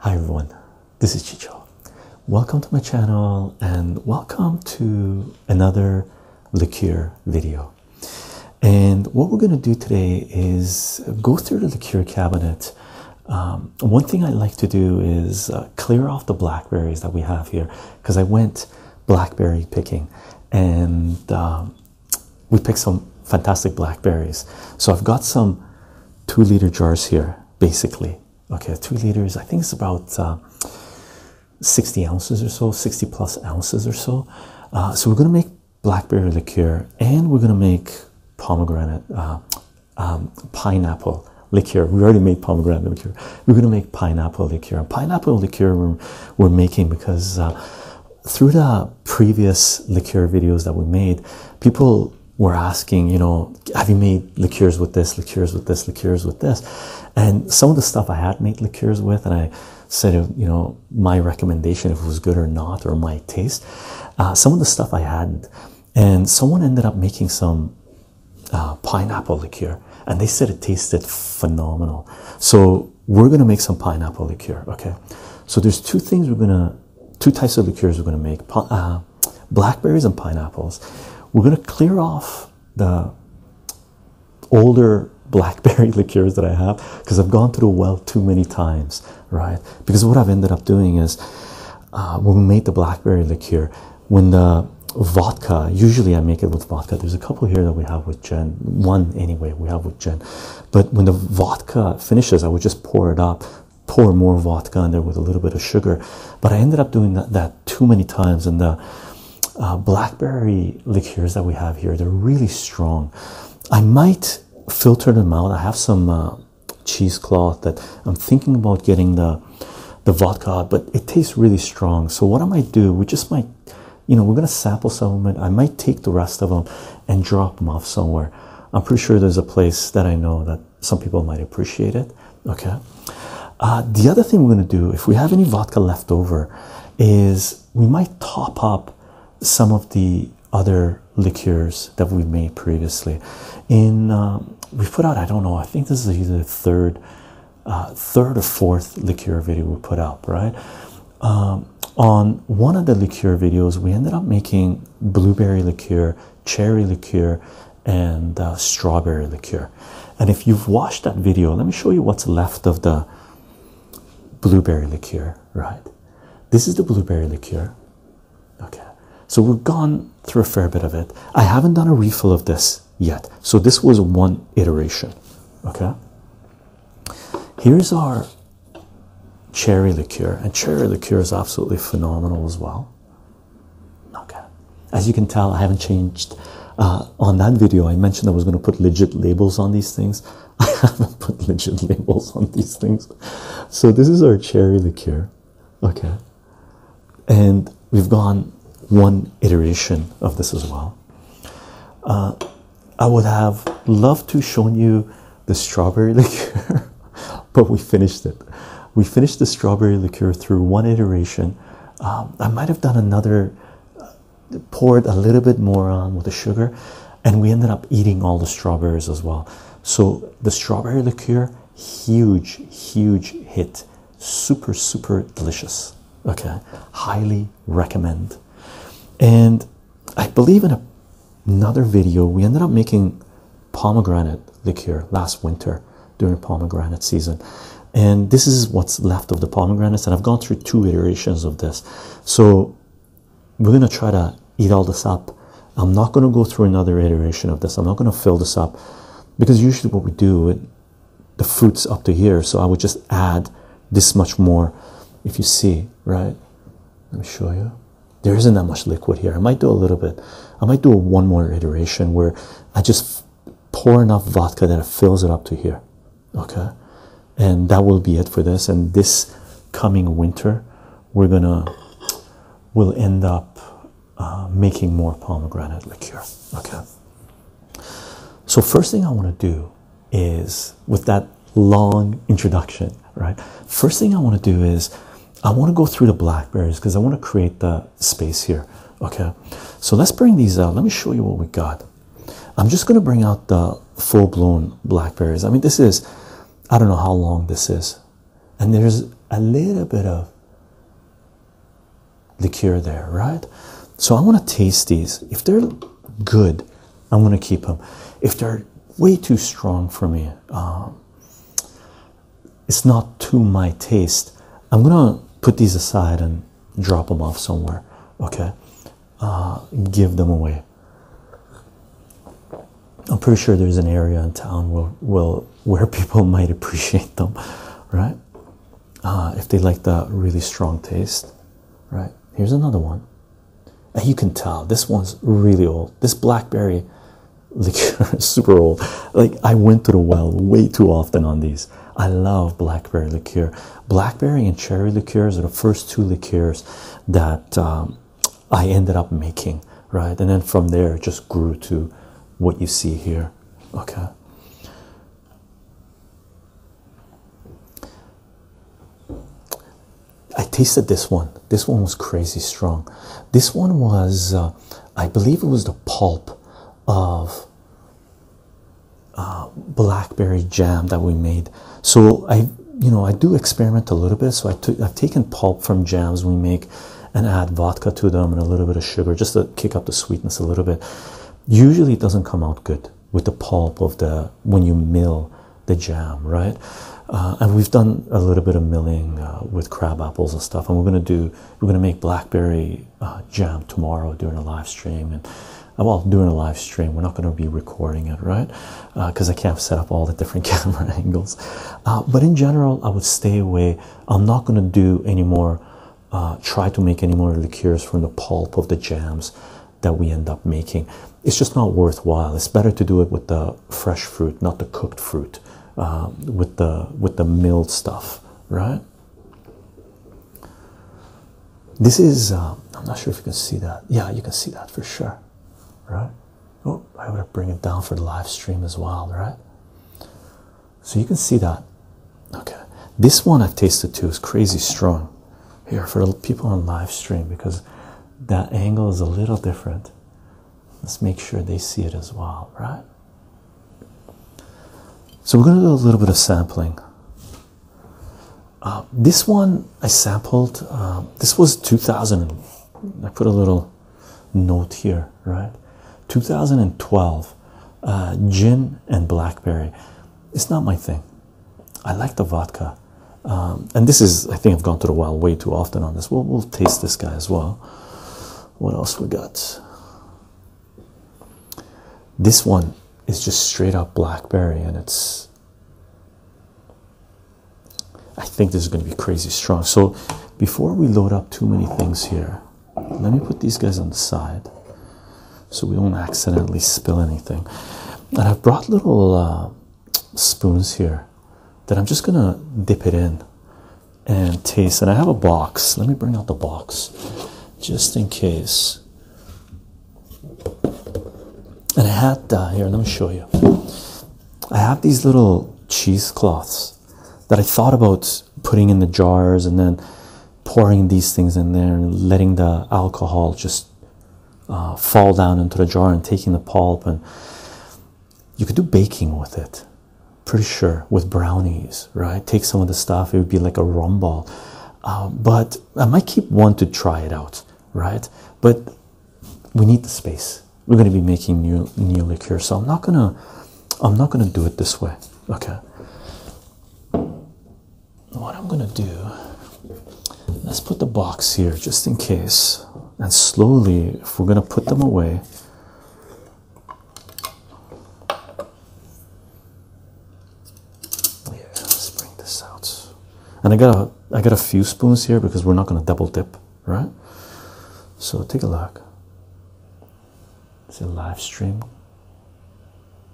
Hi everyone, this is Chicho. Welcome to my channel and welcome to another liqueur video. And what we're going to do today is go through the Cure cabinet. Um, one thing I like to do is uh, clear off the blackberries that we have here because I went blackberry picking and um, we picked some fantastic blackberries. So I've got some two liter jars here, basically. Okay, two liters, I think it's about uh, 60 ounces or so, 60 plus ounces or so. Uh, so we're going to make blackberry liqueur and we're going to make pomegranate, uh, um, pineapple liqueur. We already made pomegranate liqueur, we're going to make pineapple liqueur. Pineapple liqueur we're, making because uh, through the previous liqueur videos that we made, people were asking, you know, have you made liqueurs with this, liqueurs with this, liqueurs with this? And some of the stuff I had made liqueurs with, and I said, you know, my recommendation if it was good or not, or my taste. Uh, some of the stuff I hadn't. And someone ended up making some uh, pineapple liqueur, and they said it tasted phenomenal. So we're gonna make some pineapple liqueur. Okay, so there's two things we're gonna, two types of liqueurs we're gonna make: uh, blackberries and pineapples. We're gonna clear off the older blackberry liqueurs that I have because I've gone through the well too many times, right? Because what I've ended up doing is uh, when we made the blackberry liqueur, when the vodka, usually I make it with vodka. There's a couple here that we have with with Jen, one anyway we have with Jen. But when the vodka finishes, I would just pour it up, pour more vodka in there with a little bit of sugar. But I ended up doing that, too many times. And the uh, blackberry liqueurs that we have here, they're really strong. I might filter them out. I have some uh, cheesecloth that I'm thinking about getting the the vodka, but it tastes really strong. So what am I might do, we just might you know, we're going to sample some of them. I might take the rest of them and drop them off somewhere. I'm pretty sure there's a place that I know that some people might appreciate it. Okay. Uh, the other thing we're going to do, if we have any vodka left over, is we might top up some of the other liqueurs that we made previously. In um, we put out, I don't know, I think this is either the third uh, third or fourth liqueur video we put up, right? Um, on one of the liqueur videos, we ended up making blueberry liqueur, cherry liqueur, and uh, strawberry liqueur. And if you've watched that video, let me show you what's left of the blueberry liqueur, right? This is the blueberry liqueur. Okay, so we've gone through a fair bit of it. I haven't done a refill of this yet, so this was one iteration. Okay, Here's our cherry liqueur, and cherry liqueur is absolutely phenomenal as well. Okay, as you can tell, I haven't changed. Uh, on that video, I mentioned I was going to put legit labels on these things. I haven't put legit labels on these things. So this is our cherry liqueur. Okay, and we've gone one iteration of this as well. Uh, I would have loved to shown you the strawberry liqueur, but we finished it. We finished the strawberry liqueur through one iteration. Um, I might have done another, uh, poured a little bit more on with the sugar, and we ended up eating all the strawberries as well. So the strawberry liqueur, huge, huge hit, super, super delicious. Okay, highly, recommend. And I believe in a, another video, we ended up making pomegranate liqueur last winter during pomegranate season. And this is what's left of the pomegranates. And I've gone through two iterations of this. So we're going to try to eat all this up. I'm not going to go through another iteration of this. I'm not going to fill this up because usually what we do, the fruits up to here so i would just add this much more if you see right let me show you there isn't that much liquid here i might do a little bit i might do a one more iteration where i just pour enough vodka that it fills it up to here okay and that will be it for this and this coming winter we're gonna we'll end up uh, making more pomegranate liqueur okay so first thing i want to do is with that long introduction, right? First thing I want to do is I want to go through the blackberries because I want to create the space here. Okay, so let's bring these out. Let me show you what we got. I'm just going to bring out the full blown blackberries. I mean, this is I don't know how long this is, and there's a little bit of the cure there, right? So I want to taste these. If they're good, I'm going to keep them. If they're way too strong for me, um, it's not to my taste. I'm going to put these aside and drop them off somewhere. Okay, uh, give them away. I'm pretty sure there's an area in town will where people might appreciate them, right? Uh, if they like the really strong taste, right? Here's another one. And you can tell this one's really old. This blackberry liqueur is super old. Like I went to the well way too often on these. I love blackberry liqueur. Blackberry and cherry liqueurs are the first two liqueurs that um, I ended up making, right? And then from there it just grew to what you see here. Okay. I tasted this one. This one was crazy strong. This one was, uh, I believe, it was the pulp of uh, blackberry jam that we made. So I, you know, I do experiment a little bit. So I've taken pulp from jams we make, and add vodka to them and a little bit of sugar just to kick up the sweetness a little bit. Usually, it doesn't come out good with the pulp of the when you mill the jam, right? Uh, and we've done a little bit of milling uh, with crab apples and stuff, and we're gonna do we're gonna make blackberry uh, jam tomorrow during a live stream and. Well, doing a live stream, we're not going to be recording it, right? Because I can't set up all the different camera angles. but in general, I would stay away. I'm not going to do any more, try to make any more liqueurs from the pulp of the jams that we end up making. It's just not worthwhile. It's better to do it with the fresh fruit, not the cooked fruit, um, with the with the milled stuff, right? This is uh, I'm not sure if you can see that. Yeah, you can see that for sure, right? Oh, I would bring it down for the live stream as well, right? So you can see that. Okay, this one i tasted too is crazy strong here for the people on live stream because that angle is a little different. Let's make sure they see it as well, right? So we're going to do a little bit of sampling. Uh, this one I sampled. Uh, this was 2000. I put a little note here, right? 2012, uh, gin and blackberry. It's not my thing. I like the vodka, um, and this is I think I've gone to the wild way too often on this. we'll taste this guy as well. What else we got? This one is just straight up blackberry, and it's. I think this is going to be crazy strong. So, before we load up too many things here, let me put these guys on the side so we don't accidentally spill anything. And I've brought little uh, spoons here that I'm just gonna dip it in and taste. And I have a box. Let me bring out the box just in case. And I have uh, here, let me show you. I have these little cheesecloths that I thought about putting in the jars and then pouring these things in there and letting the alcohol just uh, fall down into the jar and taking the pulp and you could do baking with it pretty sure with brownies right take some of the stuff it would be like a rum ball uh, but i might keep one to try it out right but we need the space we're going to be making new new liqueur so i'm not gonna i'm not gonna do it this way okay what I'm gonna do, let's put the box here just in case, and slowly, if we're gonna put them away. Yeah, let's bring this out. And I got a, I got a few spoons here because we're not gonna double dip, right? So take a look. It's a live stream.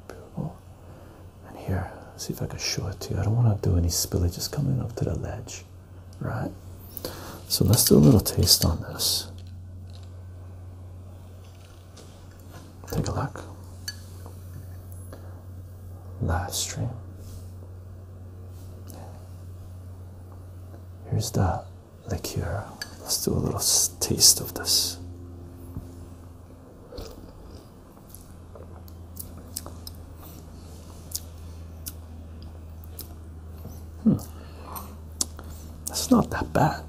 Beautiful. Oh, and here, see if I can show it to you. I don't want to do any spillage, just coming up to the ledge, right? So let's do a little taste on this. Take a look. Live stream. Here's the liqueur. Let's do a little taste of this. Hmm. It's not that bad.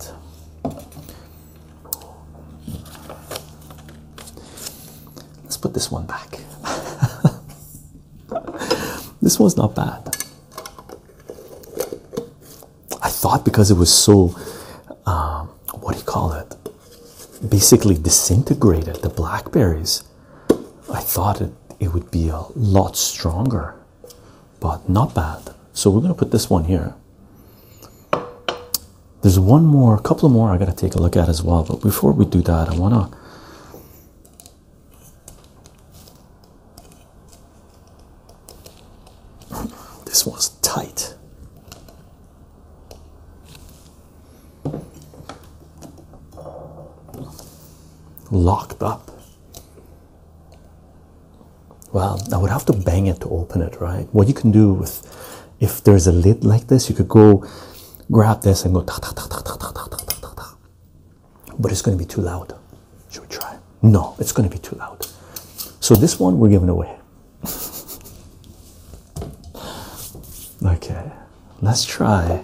Let's put this one back. this one's not bad. I thought because it was so, um, what do you call it? basically disintegrated the blackberries. I thought it, it would be a lot stronger, but not bad. So we're going to put this one here. There's one more, a couple more I got to take a look at as well. But before we do that, I want to. This one's tight. Locked up. Well, I would have to bang it to open it, right? What you can do with if there's a lid like this, you could go grab this and go ta ta ta ta ta ta ta ta ta ta. But it's going to be too loud. Should we try? No, it's going to be too loud. So this one we're giving away. okay, let's try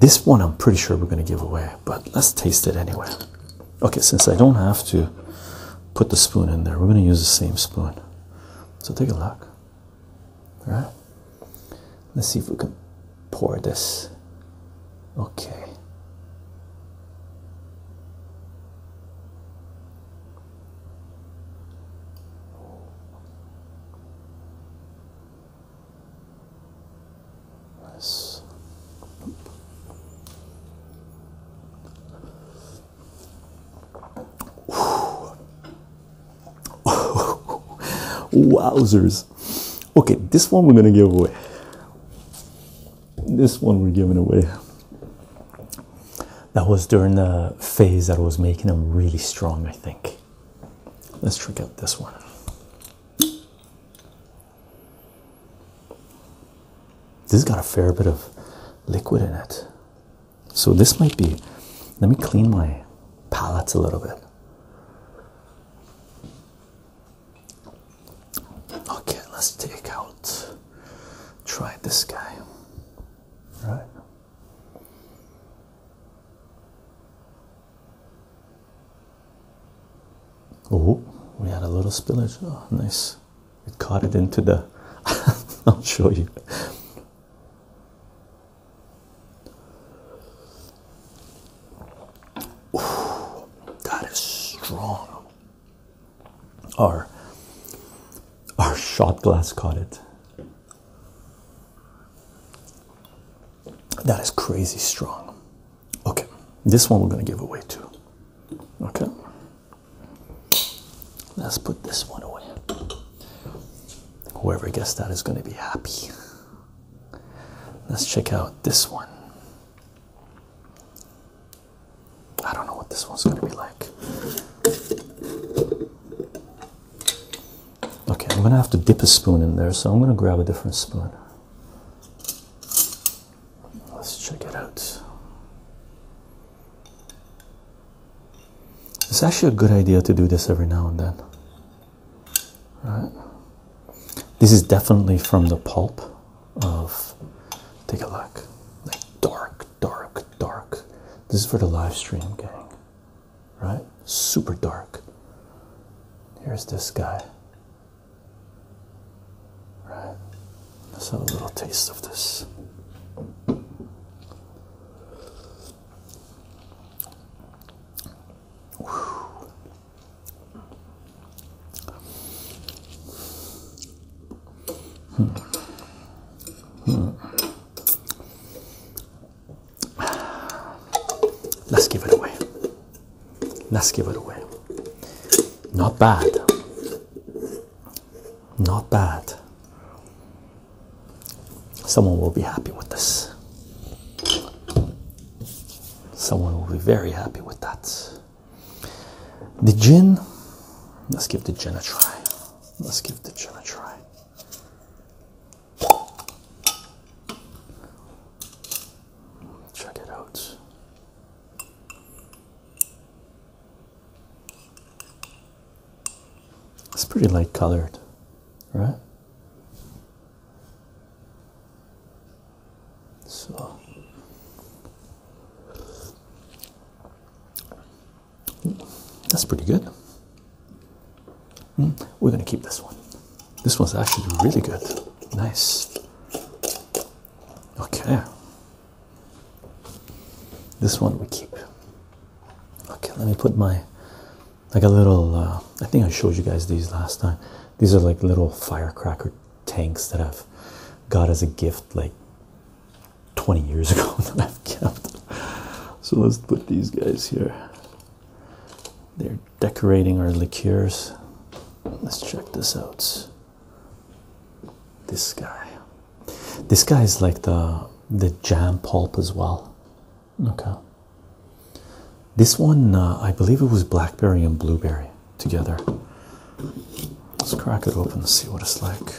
this one. I'm pretty sure we're going to give away, but let's taste it anyway. Okay, since I don't have to put the spoon in there, we're going to use the same spoon. So take a look. All right, let's see if we can pour this. Okay. Nice. Wowzers. Okay, this one we're going to give away. This one we're giving away. That was during the phase that I was making them really strong, I think. Let's check out this one. This has got a fair bit of liquid in it. So this might be, let me clean my palette a little bit. Okay, let's take out, try this guy right? Oh, we had a little spillage. Oh, nice. It caught it into the. I'll show you. that is strong. Our, our shot glass caught it. That is crazy strong. Okay, this one we're going to give away too. Okay, let's put this one away. Whoever gets that is going to be happy. Let's check out this one. I don't know what this one's going to be like. Okay, I'm going to have to dip a spoon in there, so I'm going to grab a different spoon. Let's check it out. It's actually a good idea to do this every now and then. Right? This is definitely from the pulp of. Take a look. Like dark, dark, dark. This is for the live stream, gang. Right? Super dark. Here's this guy. Right? Let's have a little taste of this. Hmm. Hmm. Hmm. Let's give it away. Let's give it away. Not bad. Not bad. Someone will be happy with this. Someone will be very happy with that. The gin, let's give the gin a try. Let's give the gym a try. Check it out. It's pretty light colored, right? So that's pretty good. Hmm, we're going to keep this one. This one's actually really good. Nice. Okay. This one we keep. Okay, let me put my. like a little. Uh, I think I showed you guys these last time. These are like little firecracker tanks that I've got as a gift, like 20 years ago that I've kept. So let's put these guys here. They're decorating our liqueurs. Let's check this out. This guy. This guy is like the the jam pulp as well. Okay. This one, uh, I believe it was blackberry and blueberry together. Let's crack it open and see what it's like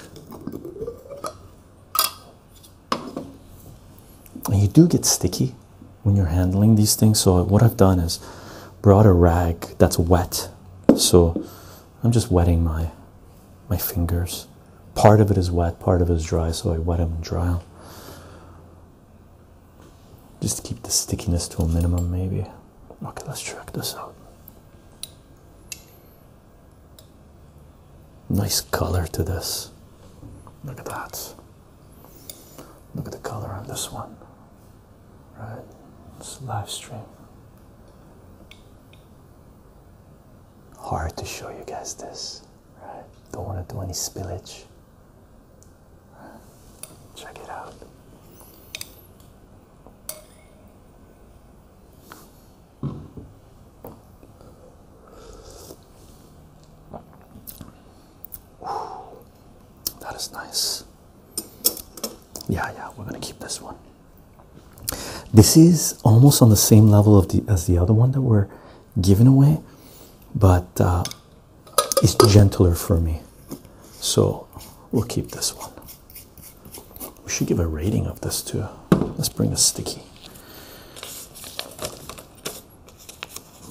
and you do get sticky when you're handling these things. So, what I've done is brought a rag that's wet, so I'm just wetting my my fingers. Part of it is wet, part of it is dry, so I wet them and dry them. Just keep the stickiness to a minimum, maybe. Okay, let's check this out. Nice color to this. Look at that. Look at the color on this one. Right? It's live stream. Hard to show you guys this. Right? Don't want to do any spillage. Check it out. That is nice. Yeah, yeah, we're gonna keep this one. This is almost on the same level of the as the other one that we're giving away, but uh, it's gentler for me. So we'll keep this one. We should give a rating of this too. Let's bring a sticky.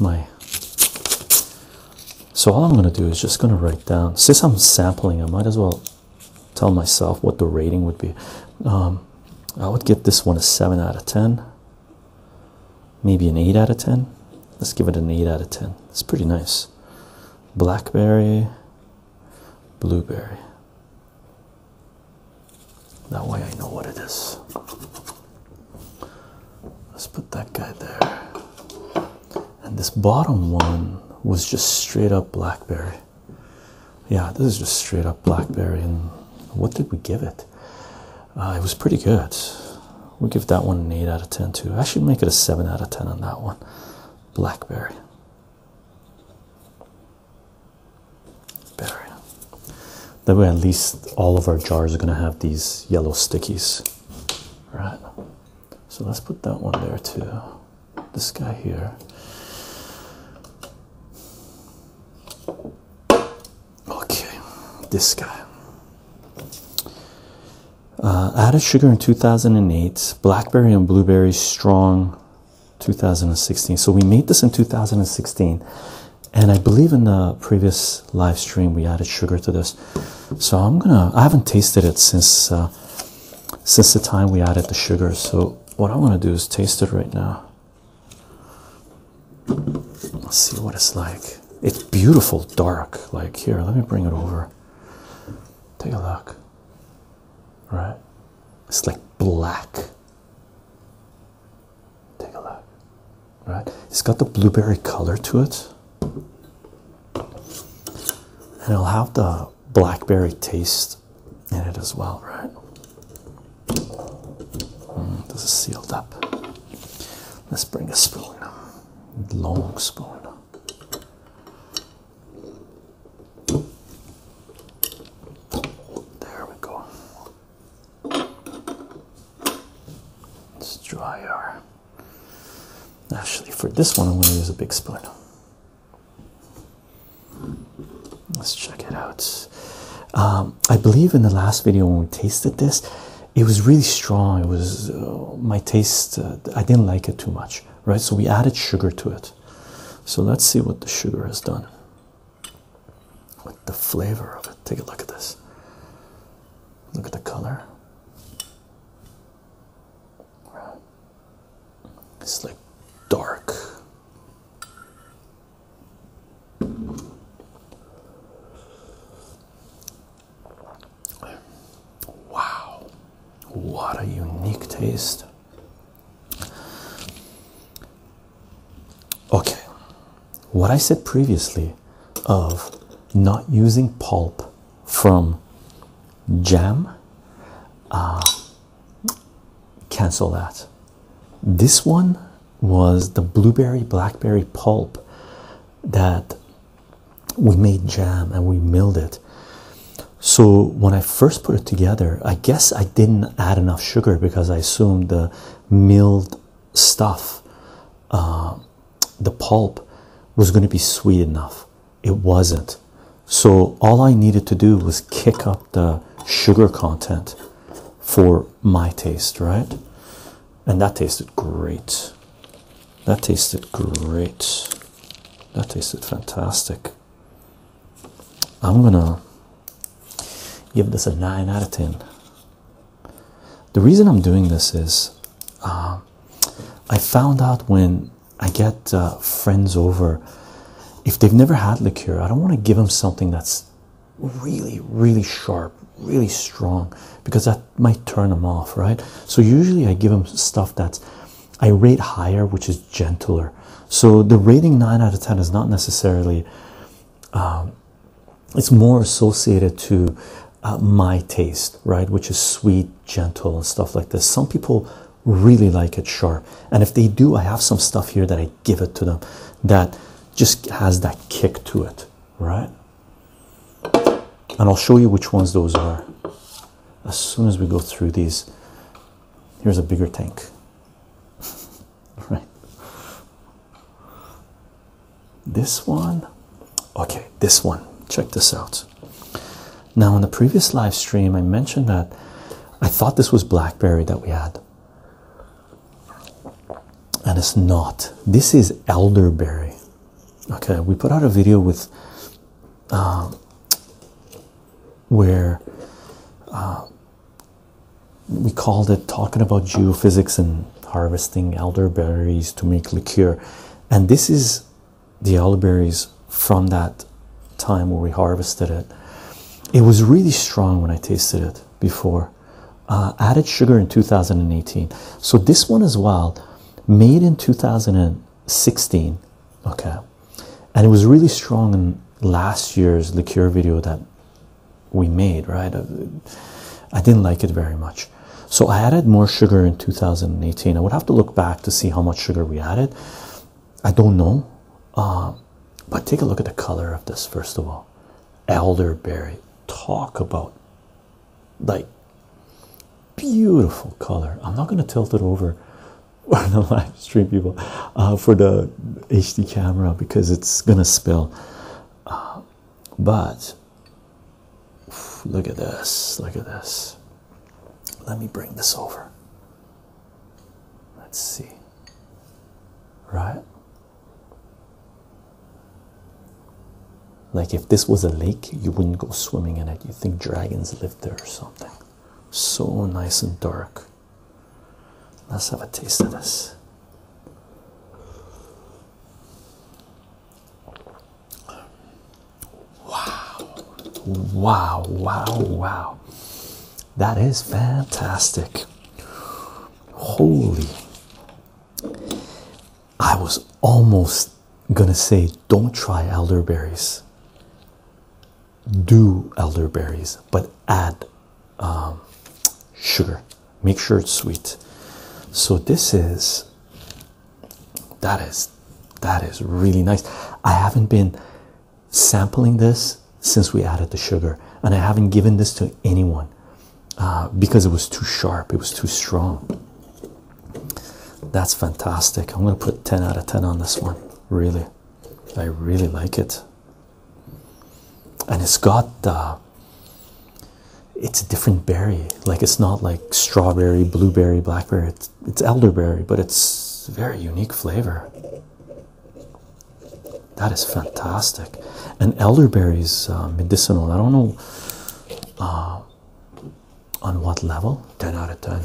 My so all I'm gonna do is just gonna write down. Since I'm sampling, I might as well tell myself what the rating would be. Um, I would give this one a seven out of ten, maybe an eight out of ten. Let's give it an eight out of ten. It's pretty nice. Blackberry, blueberry. That way I know what it is. Let's put that guy there. And this bottom one was just straight up blackberry. Yeah, this is just straight up blackberry. And what did we give it? Uh, it was pretty good. we give that one an 8 out of 10 too. I should make it a 7 out of 10 on that one. Blackberry. Berry. That way, at least all of our jars are going to have these yellow stickies. Right. So let's put that one there too. This guy here. Okay, this guy. Uh, added sugar in 2008. Blackberry and blueberry strong 2016. So we made this in 2016, and I believe in the previous live stream we added sugar to this. So I'm gonna. I haven't tasted it since uh, since the time we added the sugar. So what I want to do is taste it right now. Let's see what it's like. It's beautiful, dark. Like here, let me bring it over. Take a look. Right? It's like black. Take a look. Right? It's got the blueberry color to it. And it'll have the blackberry taste in it as well, right? Mm, this is sealed up. Let's bring a spoon. Long spoon. There we go. Let's dry our. Actually, for this one, I'm going to use a big spoon. Let's check it out. Um, I believe in the last video when we tasted this, it was really strong. It was uh, my taste, uh, I didn't like it too much, right? So we added sugar to it. So let's see what the sugar has done with the flavor of it. Take a look at this. Look at the color. It's like dark. Wow, what a unique taste! Okay, what I said previously of not using pulp from jam, uh, cancel that. This one was the blueberry blackberry pulp that we made jam and we milled it. So when I first put it together, I guess I didn't add enough sugar because I assumed the milled stuff, uh, the pulp, was going to be sweet enough. It wasn't. So all I needed to do was kick up the sugar content for my taste, right? And that tasted great. That tasted great. That tasted fantastic. I'm gonna give this a 9 out of 10. The reason I'm doing this is um, I found out when I get uh, friends over, if they've never had liqueur, I don't want to give them something that's really, really sharp, really strong, because that might turn them off, right? So usually I give them stuff that's I rate higher, which is gentler. So the rating 9 out of 10 is not necessarily, um, it's more associated to uh, my taste, right? Which is sweet, gentle, and stuff like this. Some people really like it sharp. And if they do, I have some stuff here that I give it to them that just has that kick to it, right? And I'll show you which ones those are as soon as we go through these. Here's a bigger tank. right? This one, okay, this one, check this out. Now, in the previous live stream, I mentioned that I thought this was Blackberry that we had, and it's not. This is Elderberry. Okay, we put out a video with uh, where uh, we called it talking about geophysics and harvesting elderberries to make liqueur. And this is the elderberries from that time where we harvested it. It was really strong when I tasted it before. Uh, added sugar in 2018. So this one as well, made in 2016. Okay. And it was really strong in last year's liqueur video that we made, right? Uh, I didn't like it very much. So I added more sugar in 2018. I would have to look back to see how much sugar we added. I don't know. Uh, but take a look at the color of this, first of all. Elderberry. Talk about like beautiful color. I'm not going to tilt it over stream people uh, for the HD camera because it's gonna spill. Uh, but look at this, look at this. Let me bring this over. Let's see, right? Like if this was a lake, you wouldn't go swimming in it. You think dragons lived there or something. So nice and dark. Let's have a taste of this. Wow. Wow, wow, wow. That is fantastic. Holy. I was almost gonna say, don't try elderberries do elderberries, but add um, sugar. Make sure it's sweet. So this is that is that is really nice. I haven't been sampling this since we added the sugar, and I haven't given this to anyone uh, because it was too sharp. It was too strong. That's fantastic. I'm gonna put 10 out of 10 on this one. Really, I really like it and it's got the it's a different berry like it's not like strawberry blueberry blackberry it's, elderberry but it's very unique flavor that is fantastic and elderberry is uh, medicinal i don't know uh, on what level 10 out of 10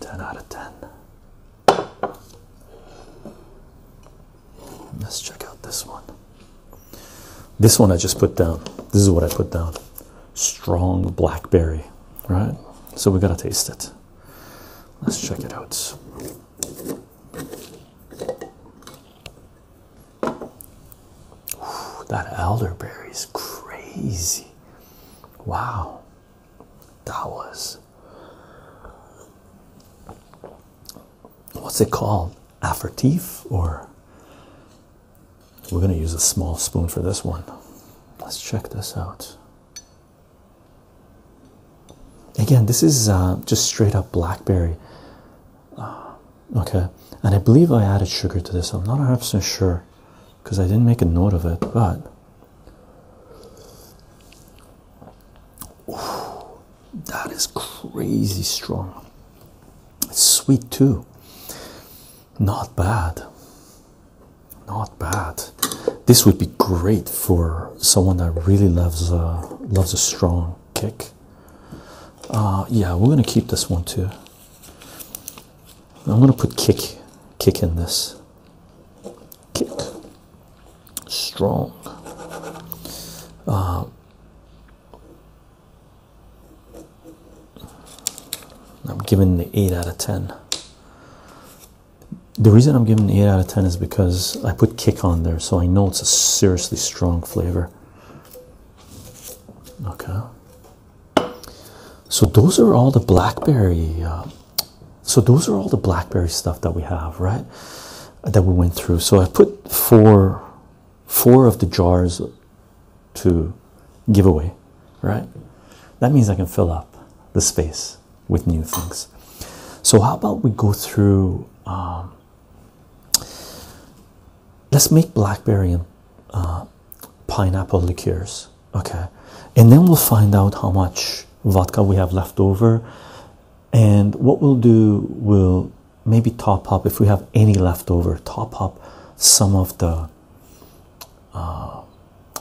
10 out of 10 Let's check out this one. This one I just put down. This is what I put down. Strong blackberry, right? So we gotta taste it. Let's check it out. that elderberry is crazy. Wow that what's it called? Aperitif, or we're going to use a small spoon for this one. Let's check this out. Again, this is uh, just straight up blackberry. Uh, okay, and I believe I added sugar to this. I'm not 100% sure because I didn't make a note of it, but that is crazy strong. It's sweet too. Not bad. Not bad. This would be great for someone that really loves a uh, loves a strong kick. Uh, yeah, we're gonna keep this one too. I'm gonna put kick kick in this. Kick strong. Uh, I'm giving the 8 out of 10. The reason I'm giving 8 out of 10 is because I put kick on there, so I know it's a seriously strong flavor. Okay. So those are all the blackberry uh, so those are all the blackberry stuff that we have right that we went through so i put four four of the jars to give away right that means i can fill up the space with new things so how about we go through um, let's make blackberry and uh, pineapple liqueurs okay and then we'll find out how much vodka we have left over and what we'll do, we'll maybe top up if we have any left over, top up some of the uh,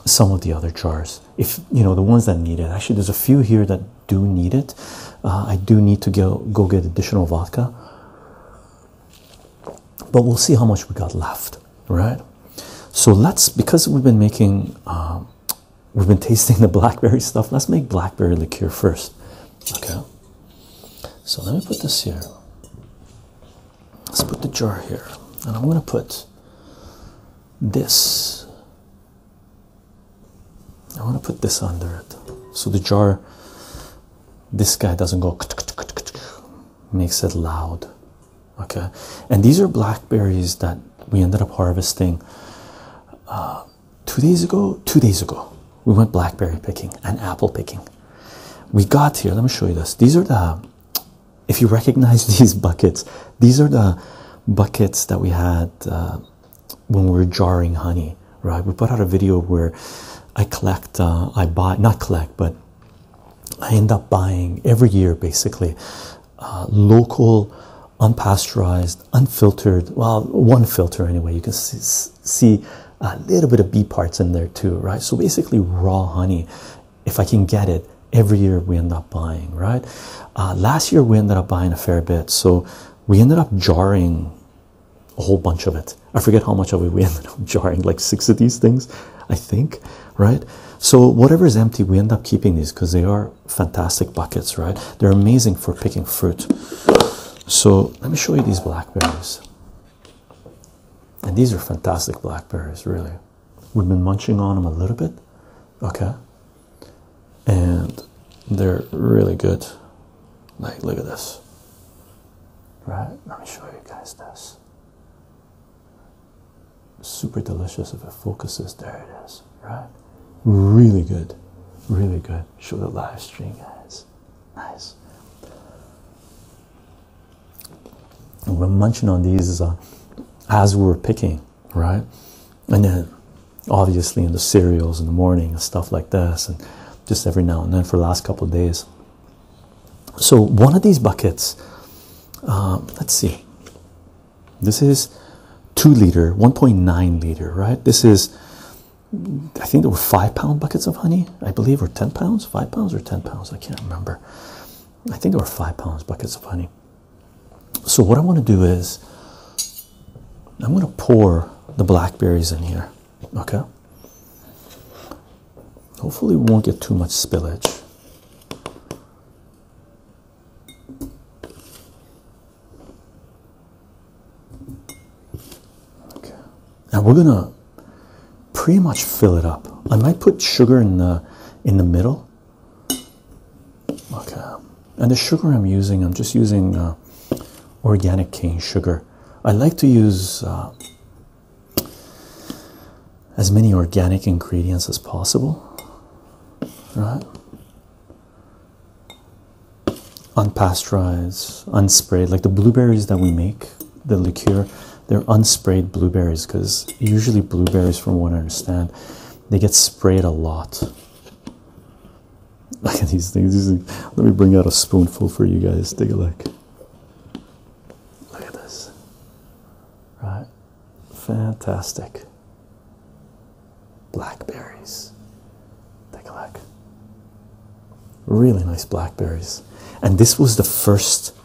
some of the other jars. If you know the ones that need it, actually, there's a few here that do need it. Uh, I do need to go go get additional vodka, but we'll see how much we got left, right? So let's because we've been making um, we've been tasting the blackberry stuff. Let's make blackberry liqueur first. Okay. So let me put this here. Let's put the jar here. And I'm going to put this. I want to put this under it. So the jar, this guy doesn't go, makes it loud. Okay. And these are blackberries that we ended up harvesting uh, two days ago. Two days ago, we went blackberry picking and apple picking. We got here. Let me show you this. These are the, if you recognize these buckets, these are the buckets that we had uh, when we were jarring honey. Right? We put out a video where I collect, uh, I buy, not collect, but I end up buying every year basically uh, local, unpasteurized, unfiltered. Well, one filter anyway. You can see, a little bit of bee parts in there too, right? So basically, raw honey. If I can get it, every year we end up buying, right? Uh, last year we ended up buying a fair bit, so we ended up jarring a whole bunch of it. I forget how much of it we ended up jarring, like six of these things, I think, right? So whatever is empty, we end up keeping these because they are fantastic buckets, right? They're amazing for picking fruit. So let me show you these blackberries. And these are fantastic blackberries, really. We've been munching on them a little bit, okay? And they're really good. Like, look at this. Right? Let me show you guys this. Super delicious if it focuses. There it is right? Really good, really good. Show the live stream, guys. Nice. we're munching on these as uh, we are picking, right? And then obviously in the cereals in the morning and stuff like this, and just every now and then for the last couple of days. So, one of these buckets, uh, let's see, this is 2 liter, 1.9 liter, right? This is, I think there were 5 pound buckets of honey, I believe, or 10 pounds, 5 pounds or 10 pounds, I can't remember. I think there were 5 pounds buckets of honey. So, what I want to do is, I'm going to pour the blackberries in here, okay? Hopefully, we won't get too much spillage. Okay, now we're gonna pretty much fill it up. I might put sugar in the in the middle. Okay, and the sugar I'm using, I'm just using uh, organic cane sugar. I like to use uh, as many organic ingredients as possible, right? unpasteurized, unsprayed, like the blueberries that we make, the liqueur, they're unsprayed blueberries because usually blueberries, from what I understand, they get sprayed a lot. Look at these things. Let me bring out a spoonful for you guys. Take a look. Look at this. Right. Fantastic. Blackberries. Take a look. Really nice blackberries. And this was the first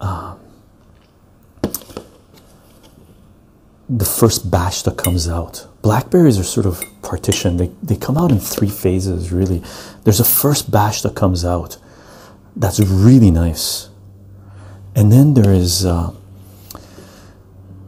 um, the first batch that comes out. Blackberries are sort of partitioned. They they come out in three phases really. There's a first batch that comes out. That's really nice. And then there is uh,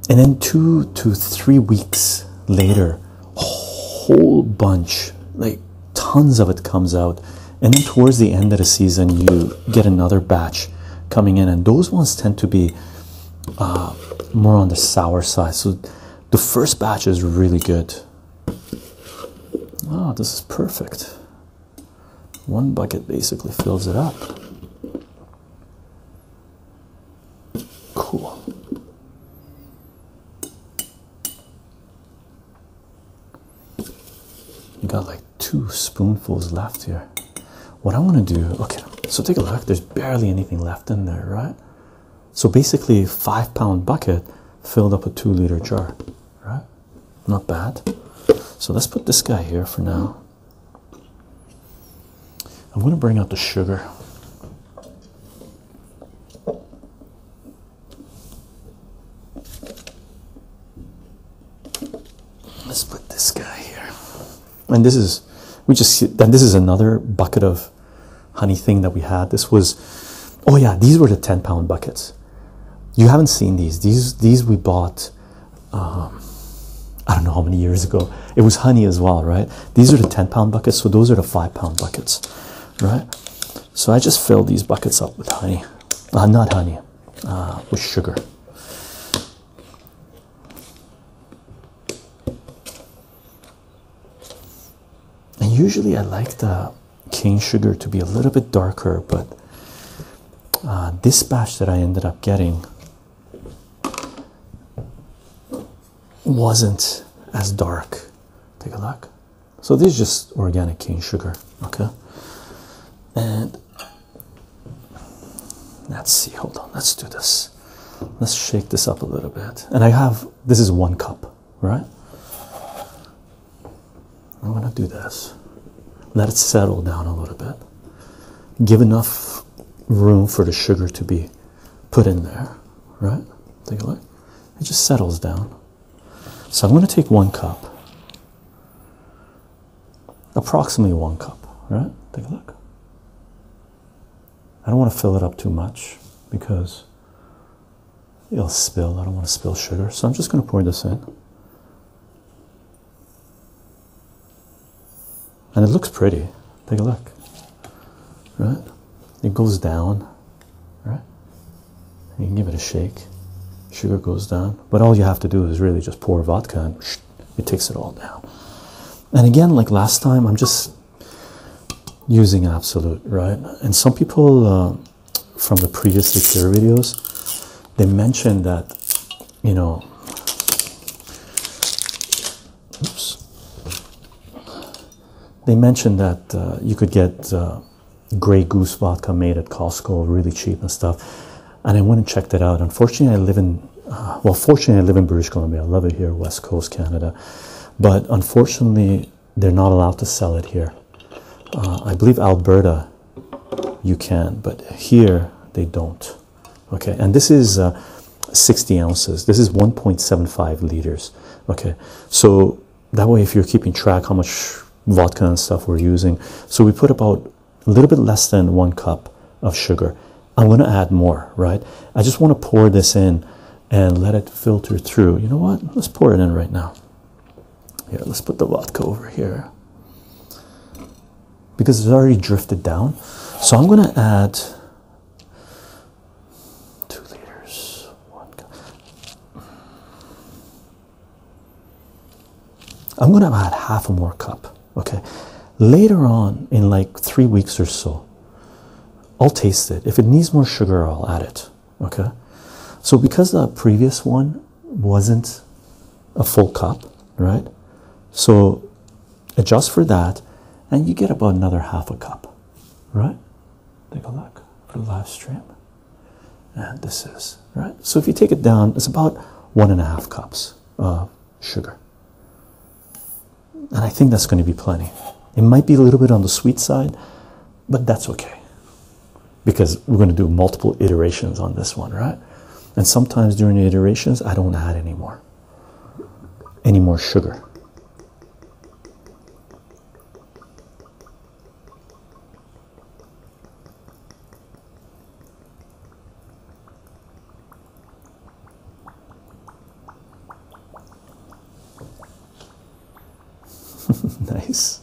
and then two to three weeks later a whole bunch like tons of it comes out and then towards the end of the season you get another batch coming in and those ones tend to be uh, more on the sour side so the first batch is really good wow this is perfect one bucket basically fills it up Cool. You got like two spoonfuls left here. What I want to do, okay, so take a look. There's barely anything left in there, right? So basically, a five pound bucket filled up a two liter jar, right? Not bad. So let's put this guy here for now. I'm going to bring out the sugar. Let's put this guy here. And this is, we just, and this is another bucket of honey thing that we had. This was, oh yeah, these were the 10 pound buckets. You haven't seen these. These, these we bought um, I don't know how many years ago. It was honey as well, right? These are the 10 pound buckets, so those are the 5 pound buckets, right? So I just fill these buckets up with honey, uh, not honey, uh, with sugar. And usually I like the cane sugar to be a little bit darker, but uh, this batch that I ended up getting wasn't as dark. Take a look. So this is just organic cane sugar, okay? And let's see, hold on, let's do this. Let's shake this up a little bit. And I have this is one cup, right? I'm gonna do this. Let it settle down a little bit. Give enough room for the sugar to be put in there, right? Take a look. It just settles down. So I'm going to take one cup, approximately one cup, right? Take a look. I don't want to fill it up too much because it'll spill. I don't want to spill sugar. So I'm just going to pour this in. And it looks pretty. Take a look. Right? It goes down. Right? You can give it a shake. Sugar goes down. But all you have to do is really just pour vodka and it takes it all down. And again, like last time, I'm just using absolute, right? And some people uh, from the previous secure videos, they mentioned that you know, they mentioned that uh, you could get uh, Grey Goose vodka made at Costco really cheap and stuff. And I went and checked it out. Unfortunately, I live in, uh, well, fortunately, I live in British Columbia. I love it here, West Coast, Canada. But unfortunately, they're not allowed to sell it here. I believe Alberta you can, but here they don't okay and this is uh, 60 ounces this is 1.75 liters okay so that way if you're keeping track how much vodka and stuff we're using so we put about a little bit less than one cup of sugar i'm going to add more right i just want to pour this in and let it filter through you know what let's pour it in right now here let's put the vodka over here because it's already drifted down. So I'm going to add two liters. One. I'm going to add half a more cup. Okay. Later on, in like three weeks or so, I'll taste it. If it needs more sugar, I'll add it. Okay. So because the previous one wasn't a full cup, right? So Adjust for that, and you get about another half a cup, right? Take a look for the live stream. And this is right. So if you take it down, it's about one and a half cups of sugar. And I think that's going to be plenty. It might be a little bit on the sweet side, but that's okay. Because we're going to do multiple iterations on this one, right? And sometimes during the iterations, I don't add anymore any more sugar. nice.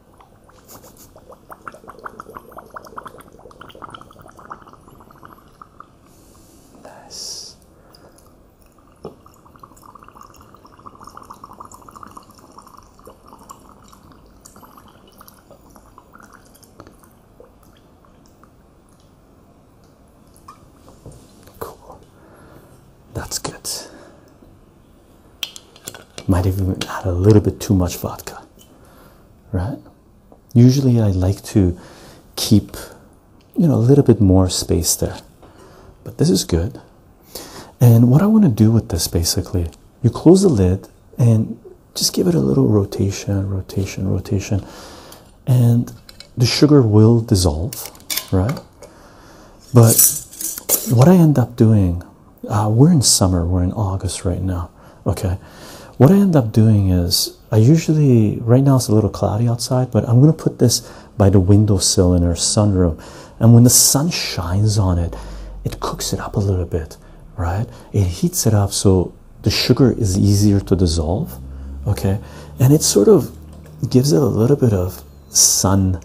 Nice. Cool. That's good. Might even add a little bit too much vodka right? Usually I like to keep, you know, a little bit more space there, but this is good. And what I want to do with this basically, you close the lid and just give it a little rotation, rotation, rotation, and the sugar will dissolve, right? But what I end up doing uh, we're in summer, we're in August right now. Okay, what I end up doing is I usually, right now it's a little cloudy outside, but I'm gonna put this by the windowsill in our sunroom, and when the sun shines on it, it cooks it up a little bit, right? It heats it up so the sugar is easier to dissolve, okay, and it sort of gives it a little bit of sun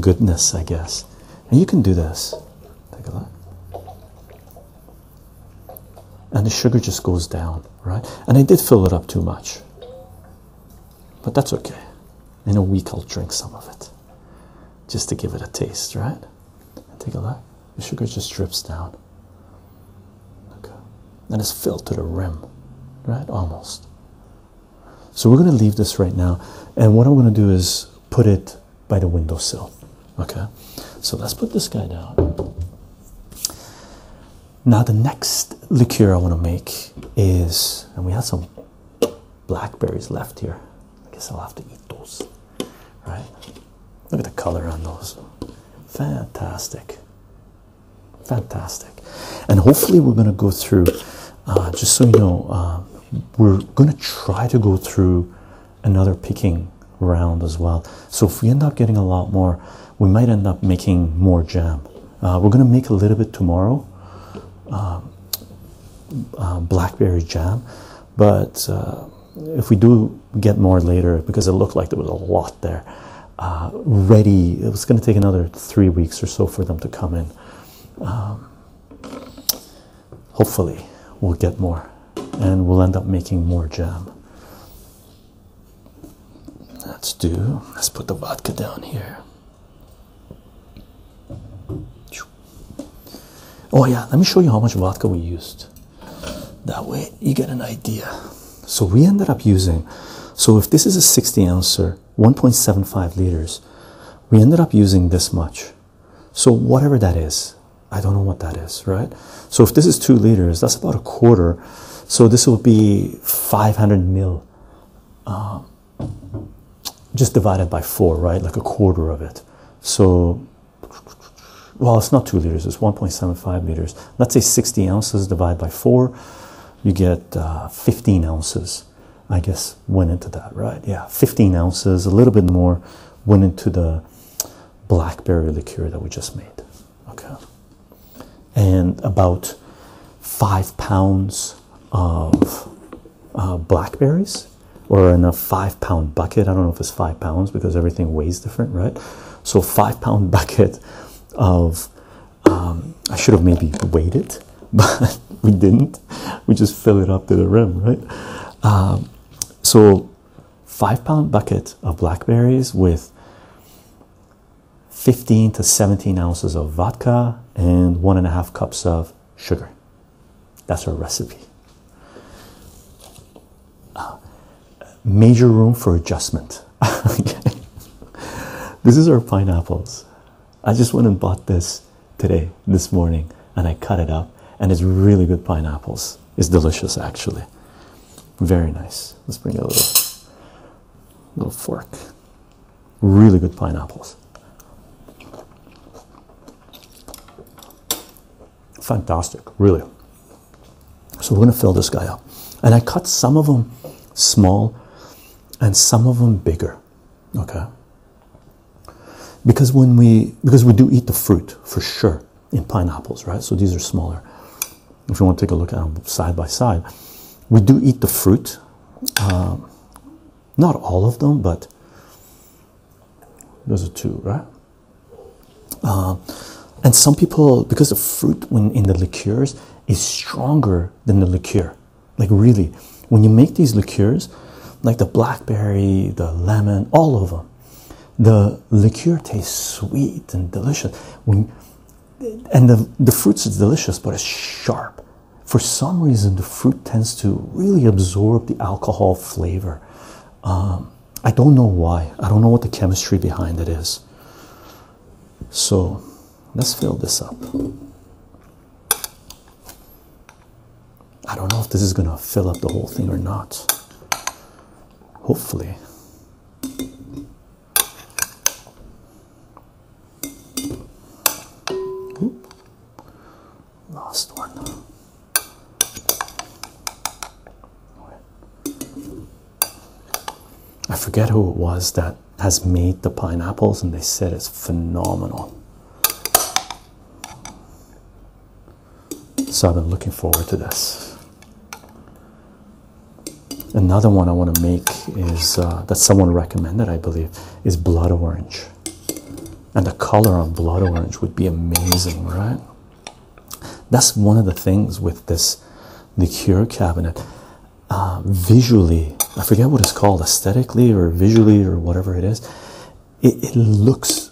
goodness, I guess. And you can do this. Take a look and the sugar just goes down, right? And I did fill it up too much, but that's okay. In a week, I'll drink some of it just to give it a taste, right? Take a look, the sugar just drips down, okay, and it's filled to the rim, right? Almost. So, we're going to leave this right now, and what I'm going to do is put it by the windowsill. Okay, so let's put this guy down. Now, the next liqueur I want to make is, and we have some blackberries left here. I guess I'll have to eat those, right? Look at the color on those. Fantastic. Fantastic. And hopefully, we're going to go through, uh, just so you know, uh, we're going to try to go through another picking round as well. So if we end up getting a lot more, we might end up making more jam. Uh, we're going to make a little bit tomorrow, uh, uh, blackberry jam, but if we do get more later, because it looked like there was a lot there, ready, it was going to take another three weeks or so for them to come in. Um, hopefully we'll get more and we'll end up making more jam. Let's do, let's put the vodka down here. Oh, yeah, let me show you how much vodka we used. That way you get an idea. So we ended up using, so if this is a 60 ouncer, 1.75 liters, we ended up using this much so, whatever that is, I don't know what that is, right? So, if this is two liters, that's about a quarter. So, this will be 500 mil, um, just divided by four, right? Like a quarter of it. So, well, it's not two liters, it's 1.75 liters. Let's say 60 ounces divided by four, you get uh, 15 ounces. I guess went into that, right? Yeah, 15 ounces, a little bit more went into the blackberry liqueur that we just made. Okay, and about five pounds of uh, blackberries, or in a five pound bucket. I don't know if it's five pounds because everything weighs different, right? So, five pound bucket of um, I should have maybe weighed it, but we didn't. We just fill it up to the rim, right? Um, so five pound bucket of blackberries with 15 to 17 ounces of vodka and one and a half cups of sugar. That's our recipe. Uh, major room for adjustment. okay. This is our pineapples. I just went and bought this today, this morning, and I cut it up, and it's really good pineapples. It's delicious, actually. Very nice. Let's bring a little, little fork. Really good pineapples. Fantastic, really. So we're going to fill this guy up. And I cut some of them small and some of them bigger. Okay. Because when we because we do eat the fruit for sure in pineapples, right? So these are smaller. If you want to take a look at them side by side, we do eat the fruit. Uh, not all of them, but those are two, right? Uh, and some people, because the fruit when in the liqueurs is stronger than the liqueur, like really, when you make these liqueurs, like the blackberry, the lemon, all of them, the liqueur tastes sweet and delicious when and the, the fruits is delicious but it's sharp for some reason the fruit tends to really absorb the alcohol flavor um, i don't know why i don't know what the chemistry behind it is so let's fill this up I don't know if this is gonna fill up the whole thing or not. Hopefully. Oop. Last one. I forget who it was that has made the pineapples, and they said it's phenomenal. So I've been looking forward to this. Another one I want to make is uh, that someone recommended, I believe, is blood orange. And the color on blood orange would be amazing, right? That's one of the things with this the cure cabinet. Uh, visually, I forget what it's called, aesthetically or visually or whatever it is, it, looks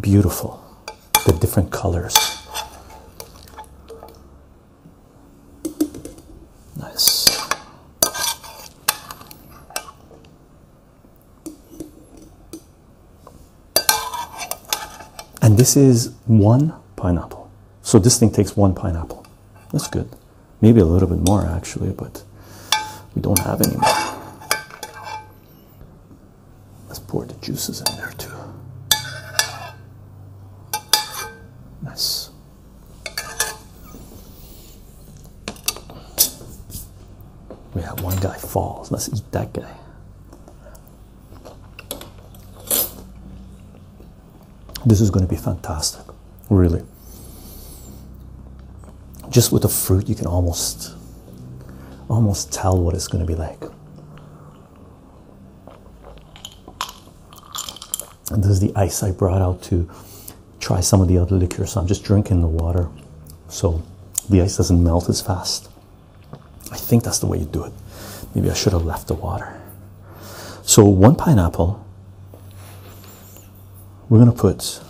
beautiful the different colors nice and this is one pineapple so this thing takes one pineapple that's good maybe a little bit more actually but we don't have any more Let's pour the juices in there too. Nice. We one guy falls. Let's eat that guy. This is going to be fantastic, really. Just with the fruit, you can almost almost tell what it's going to be like. this is the ice I brought out to try some of the other liquor. I'm just drinking the water so the ice doesn't melt as fast. I think that's the way you do it. Maybe I should have left the water. So one pineapple, we're going to put,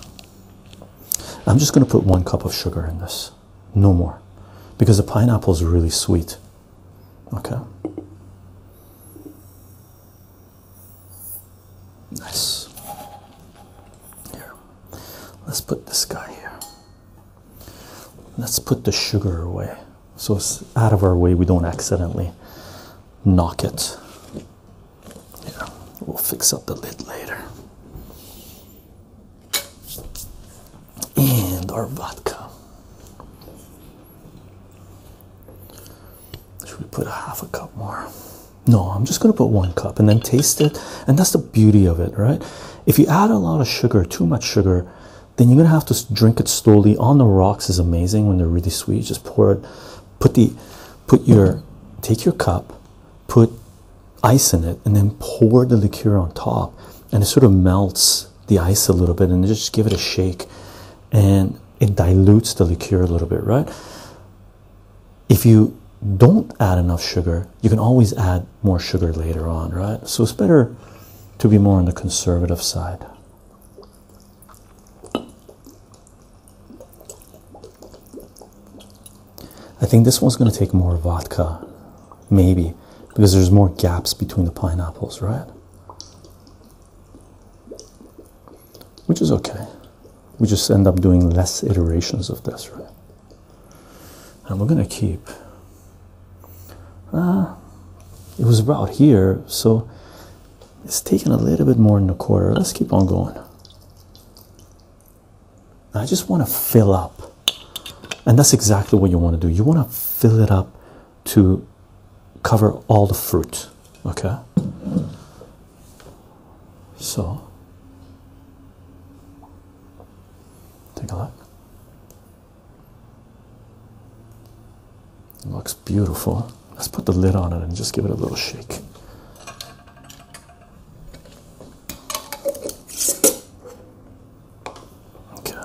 I'm just going to put one cup of sugar in this no more because the pineapple is really sweet. Okay. Nice. Here. Let's put this guy here. Let's put the sugar away so it's out of our way, we don't accidentally knock it. Yeah, we'll fix up the lid later and our vodka. Should we put a half a cup more? No, I'm just going to put one cup and then taste it. And that's the beauty of it, right? If you add a lot of sugar, too much sugar, then you're going to have to drink it slowly. On the rocks is amazing when they're really sweet. Just pour it, put the, put your, take your cup, put ice in it and then pour the liqueur on top and it sort of melts the ice a little bit and just give it a shake and it dilutes the liqueur a little bit right if you don't add enough sugar you can always add more sugar later on right so it's better to be more on the conservative side I think this one's going to take more vodka, maybe, because there's more gaps between the pineapples, right? Which is okay. We just end up doing less iterations of this, right? And we're going to keep. Uh, it was about here, so it's taking a little bit more than a quarter. Let's keep on going. I just want to fill up, and that's exactly what you want to do. You want to fill it up to cover all the fruit, okay? So, take a look. looks beautiful. Let's put the lid on it and just give it a little shake. Okay.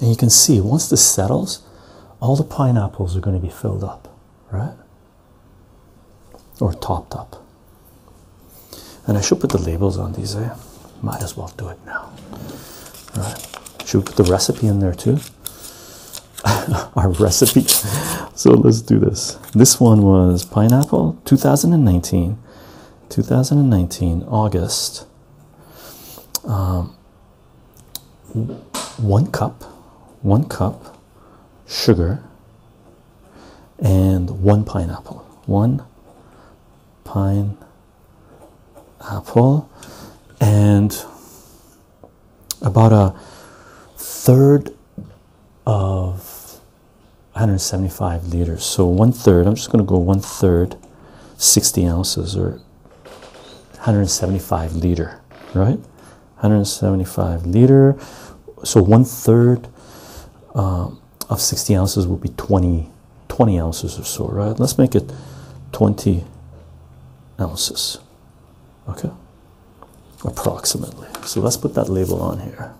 And you can see once this settles, all the pineapples are going to be filled up, right? Or topped up. And I should put the labels on these, I eh? Might as well do it now. All right. Should we put the recipe in there too? Our recipe, so let's do this. This one was Pineapple 2019, 2019, August. Um, one cup, one cup sugar, and one pineapple. One pine apple and about a third of 175 liters. So one third, I'm just going to go one third, 60 ounces or 175 liter, right? 175 liter. So one third um, of 60 ounces would be 20, 20 ounces or so, right? Let's make it 20 ounces, okay? approximately. So let's put that label on here.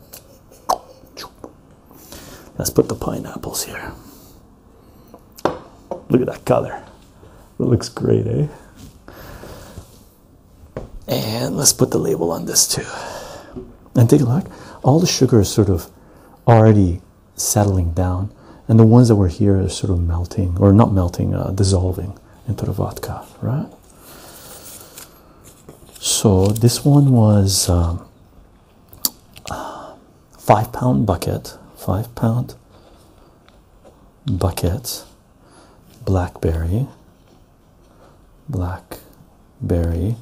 Let's put the pineapples here. Look at that color. That looks great, eh? And let's put the label on this too. And take a look. All the sugar is sort of already settling down, and the ones that were here are sort of melting, or not melting, uh, dissolving into the vodka, right? So this one was um, five pound bucket, five pound bucket, blackberry, blackberry,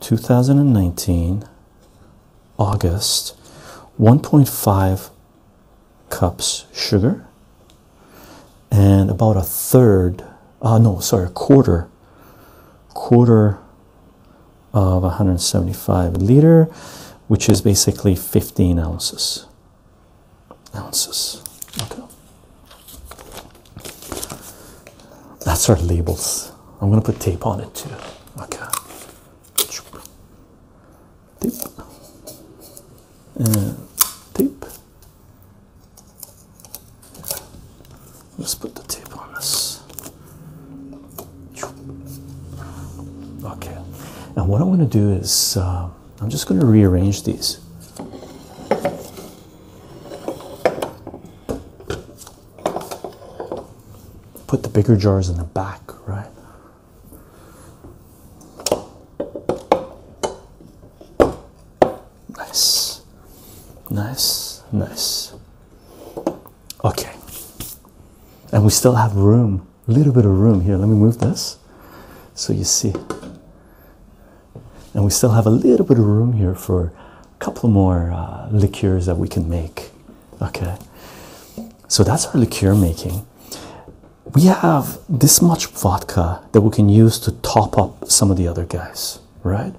2019, August, 1.5 cups sugar and about a third uh no sorry a quarter quarter of 175 liter which is basically 15 ounces ounces okay that's our labels i'm going to put tape on it too okay tape and tape Let's put the tape on this. Okay, now what I'm going to do is uh, I'm just going to rearrange these. Put the bigger jars in the back, right? Nice, nice, nice. Okay, and we still have room, a little bit of room here. Let me move this so you see. And we still have a little bit of room here for a couple more uh, liqueurs that we can make. Okay, so that's our liqueur making. We have this much vodka that we can use to top up some of the other guys right?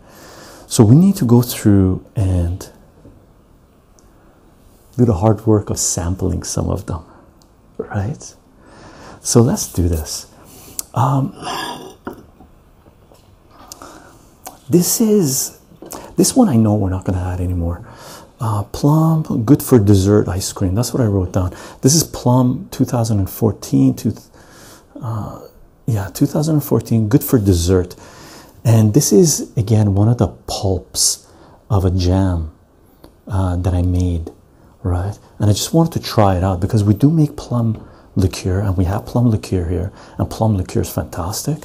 So we need to go through and do the hard work of sampling some of them, right? So let's do this. Um, this is this one I know we're not gonna add anymore. Uh, plum good for dessert ice cream. That's what I wrote down. This is plum 2014 to uh, yeah 2014 good for dessert and this is again one of the pulps of a jam uh, that i made right and i just wanted to try it out because we do make plum liqueur and we have plum liqueur here and plum liqueur is fantastic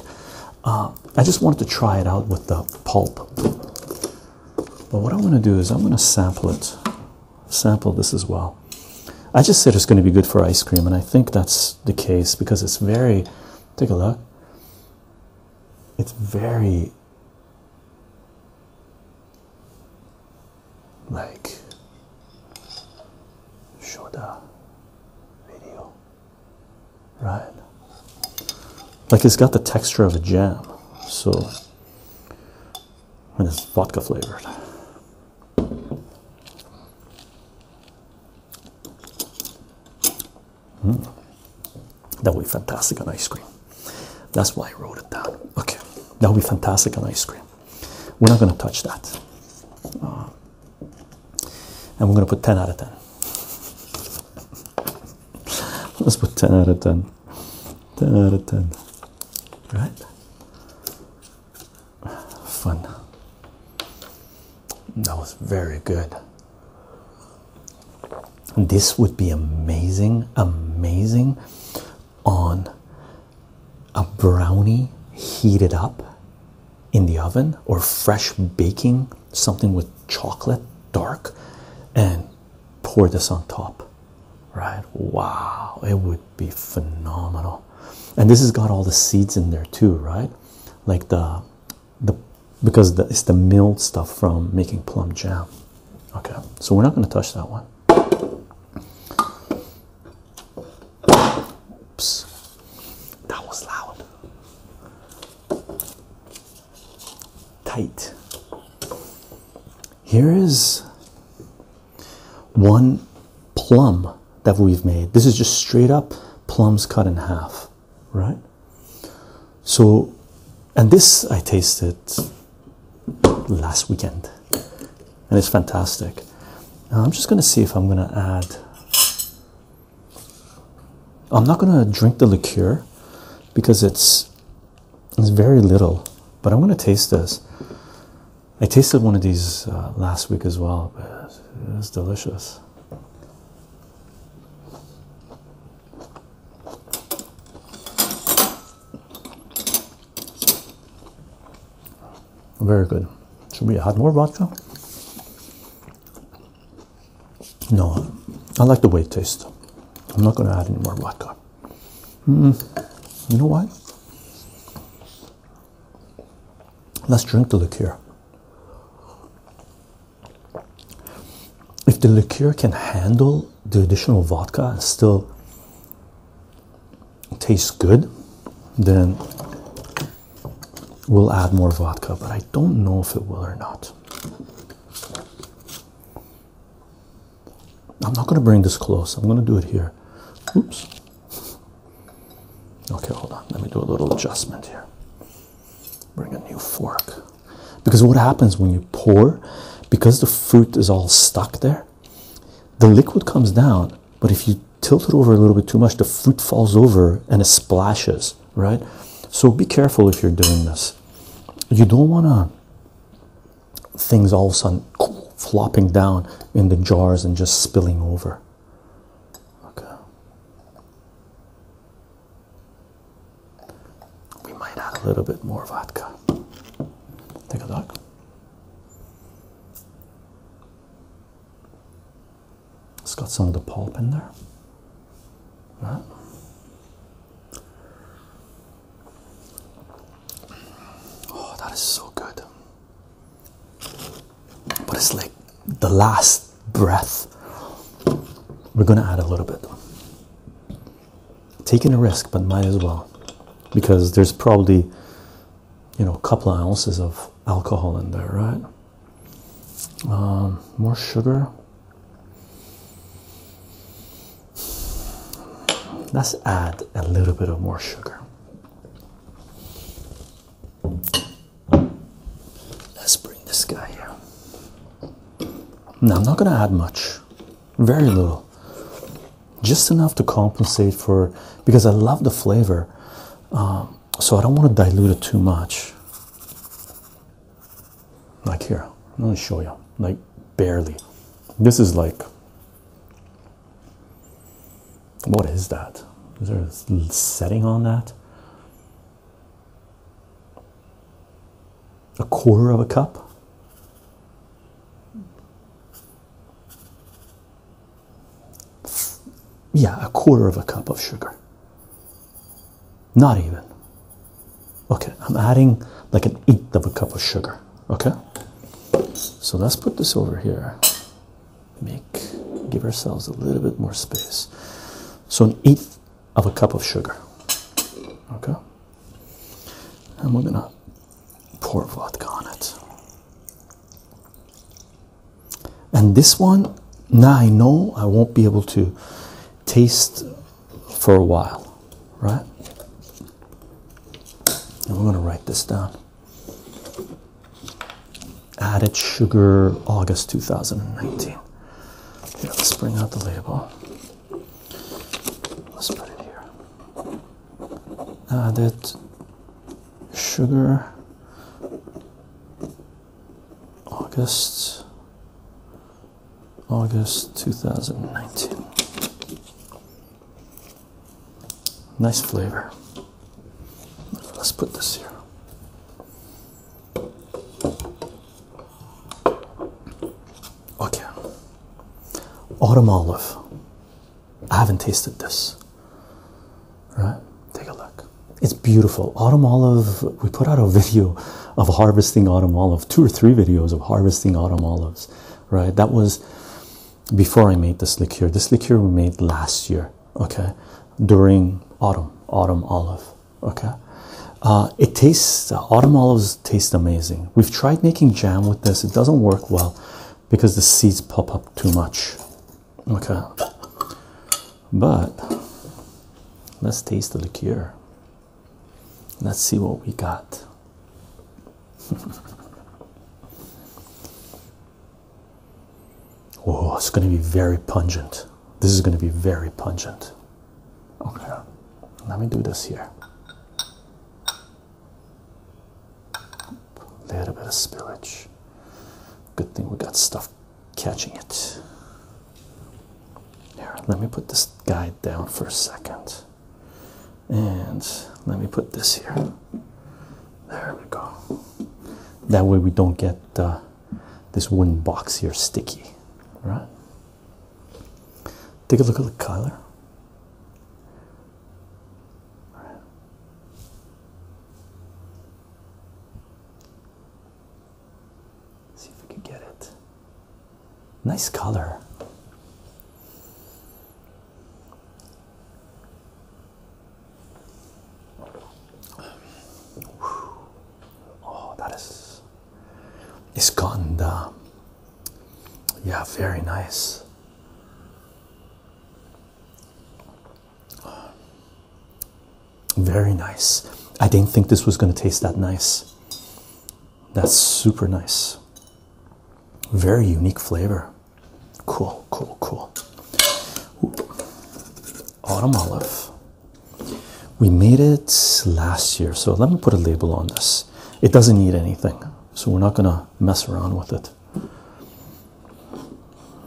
uh, i just wanted to try it out with the pulp but what i am going to do is i'm going to sample it sampled this as well. I just said it's going to be good for ice cream, and I think that's the case because it's very. Take a look. It's very. Like. Show the video. Right. Like it's got the texture of a jam. So. And it's vodka flavored. Hmm? That would be fantastic on ice cream. That's why I wrote it down. Okay, that would be fantastic on ice cream. We're not going to touch that. Uh, and we're going to put 10 out of 10. Let's put 10 out of 10. 10 out of 10. Right? Fun. That was very good. This would be amazing, amazing on a brownie heated up in the oven or fresh baking something with chocolate dark and pour this on top, right? Wow, it would be phenomenal. And this has got all the seeds in there too, right? Like the the because it's the milled stuff from making plum jam. Okay, so we're not going to touch that one. That was loud. Tight. Here is one plum that we've made. This is just straight up plums cut in half, right? So, and this I tasted last weekend, and it's fantastic. I'm just gonna see if I'm gonna add. I'm not gonna drink the liqueur because it's it's very little, but I'm gonna taste this. I tasted one of these uh, last week as well, it was delicious. Very good. Should we add more vodka? No, I like the way it tastes. I'm not going to add any more vodka. Mm You know what? Let's drink the liqueur. If the liqueur can handle the additional vodka and still tastes good, then we'll add more vodka, but I don't know if it will or not. I'm not going to bring this close, I'm going to do it here. Oops. Okay, hold on. Let me do a little adjustment here. Bring a new fork. Because what happens when you pour, because the fruit is all stuck there, the liquid comes down. But if you tilt it over a little bit too much, the fruit falls over and it splashes, right? So be careful if you're doing this. You don't want to things all of a sudden flopping down in the jars and just spilling over. We might add a little bit more vodka. Take a look. It's got some of the pulp in there. Right. Oh, that is so good but it's like the last breath. We're going to add a little bit. Taking a risk, but might as well because there's probably, you know, a couple ounces of alcohol in there, right? Um, more sugar. Let's add a little bit of more sugar. Let's bring this guy here. Now, I'm not going to add much, very little, just enough to compensate for because I love the flavor, um, so I don't want to dilute it too much. Like here, I'm going to show you, like barely. This is like what is that? Is there a setting on that? A quarter of a cup? Yeah, a quarter of a cup of sugar. Not even. Okay, I'm adding like an eighth of a cup of sugar. Okay, so let's put this over here make give ourselves a little bit more space so an eighth of a cup of sugar okay and we're gonna pour vodka on it and this one now i know i won't be able to taste for a while right and we're gonna write this down Added sugar, August 2019. let's bring out the label. Let's put it here. Added sugar, August, August 2019. Nice flavor. Let's put this here. Okay. Autumn olive. I haven't tasted this. Right? Take a look. It's beautiful. Autumn olive, we put out a video of harvesting autumn olive, two or three videos of harvesting autumn olives, right? That was before I made this liqueur. This liqueur we made last year, okay, during autumn, autumn olive, okay. Uh, it tastes, uh, autumn olives taste amazing. We've tried making jam with this, it doesn't work well because the seeds pop up too much, okay. But let's taste the liqueur, let's see what we got. Oh, it's going to be very pungent. This is going to be very pungent. Okay, let me do this here. A little bit of spillage. Good thing we got stuff catching it. Here, let me put this guy down for a second. And let me put this here. There we go. That way we don't get uh, this wooden box here sticky, right? Take a look at the color. See if we can get it. Nice color. Oh, that is Iskanda. Uh, yeah, very nice. Very nice. I didn't think this was going to taste that nice. That's super nice. Very unique flavor. Cool, cool, cool. Autumn olive. We made it last year, so let me put a label on this. It doesn't need anything, so we're not gonna mess around with it.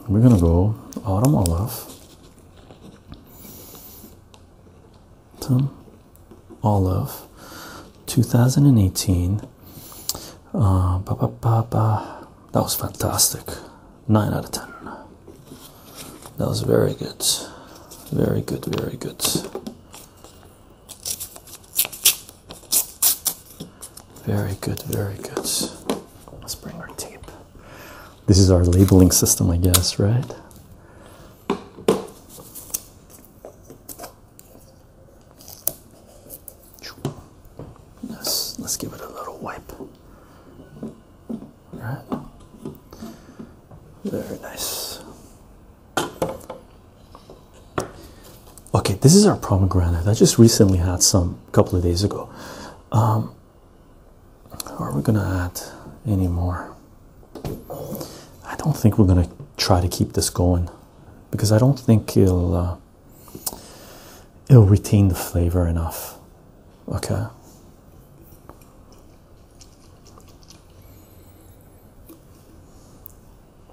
We're gonna go autumn olive. Olive 2018. Uh, ba, ba, ba, ba. That was fantastic. 9 out of 10. That was very good. Very good, very good. Very good, very good. Let's bring our tape. This is our labeling system, I guess, right? Let's, let's give it a little wipe. Right. Very nice. Okay, this is our pomegranate. I just recently had some a couple of days ago. Um, are we gonna add any more? I don't think we're gonna try to keep this going because I don't think it'll. Uh, it'll retain the flavor enough. Okay.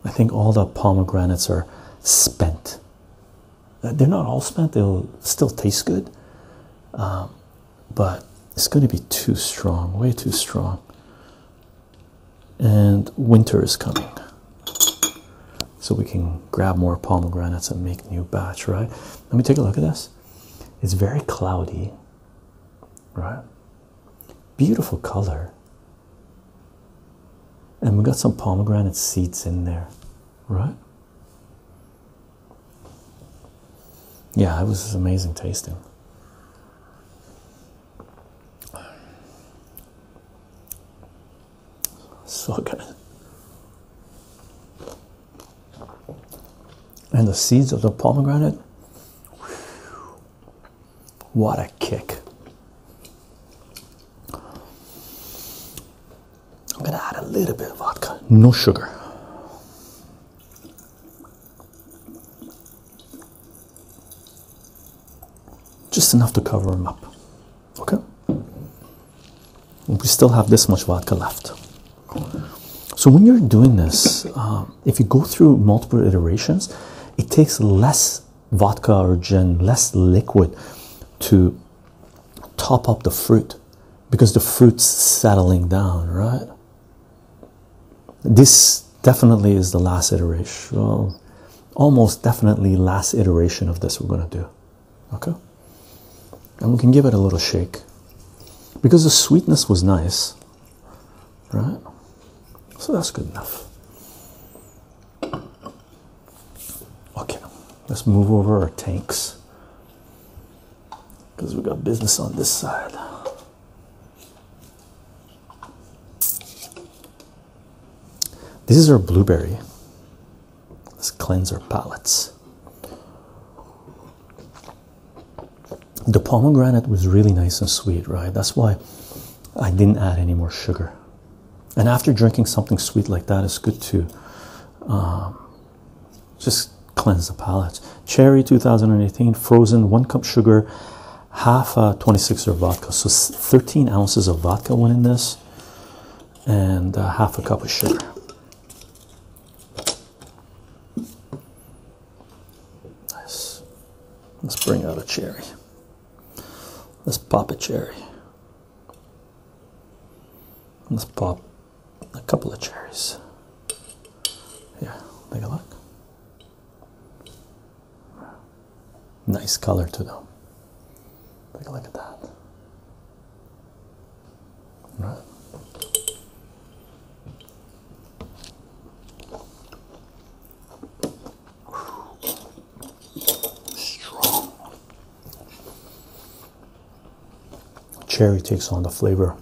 I think all the pomegranates are spent. Uh, they're not all spent, they'll still taste good. Um, but it's going to be too strong, way too strong. And winter is coming so we can grab more pomegranates and make new batch right let me take a look at this it's very cloudy right beautiful color and we got some pomegranate seeds in there right yeah it was amazing tasting so good. And the seeds of the pomegranate. What a kick. I'm going to add a little bit of vodka, no sugar. Just enough to cover them up. Okay, we still have this much vodka left. So, when you're doing this, um, if you go through multiple iterations, it takes less vodka or gin, less liquid to top up the fruit because the fruit's settling down, right? This definitely is the last iteration, almost definitely last iteration of this we're going to do okay and we can give it a little shake because the sweetness was nice right so that's good enough okay let's move over our tanks because we got business on this side this is our blueberry. Let's cleanse our palates. The pomegranate was really nice and sweet, right? That's why I didn't add any more sugar. And after drinking something sweet like that, it's good to uh, just cleanse the palate. Cherry 2018, frozen, one cup sugar, half a uh, 26er vodka. So 13 ounces of vodka went in this and uh, half a cup of sugar. Nice. Let's bring out a cherry. Let's pop a cherry. Let's pop a couple of cherries. Yeah, take a look. Nice color to them. Take a look at that. Strong. Cherry takes on the flavor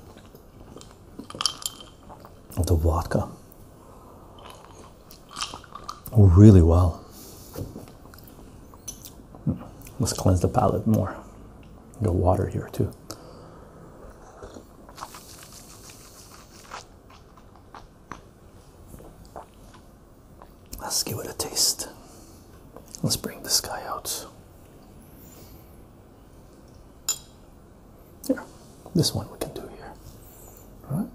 of the vodka really well. Let's cleanse the palate more. The water here too. Let's give it a taste. Let's bring this guy out. Here, this one we can do here. All right.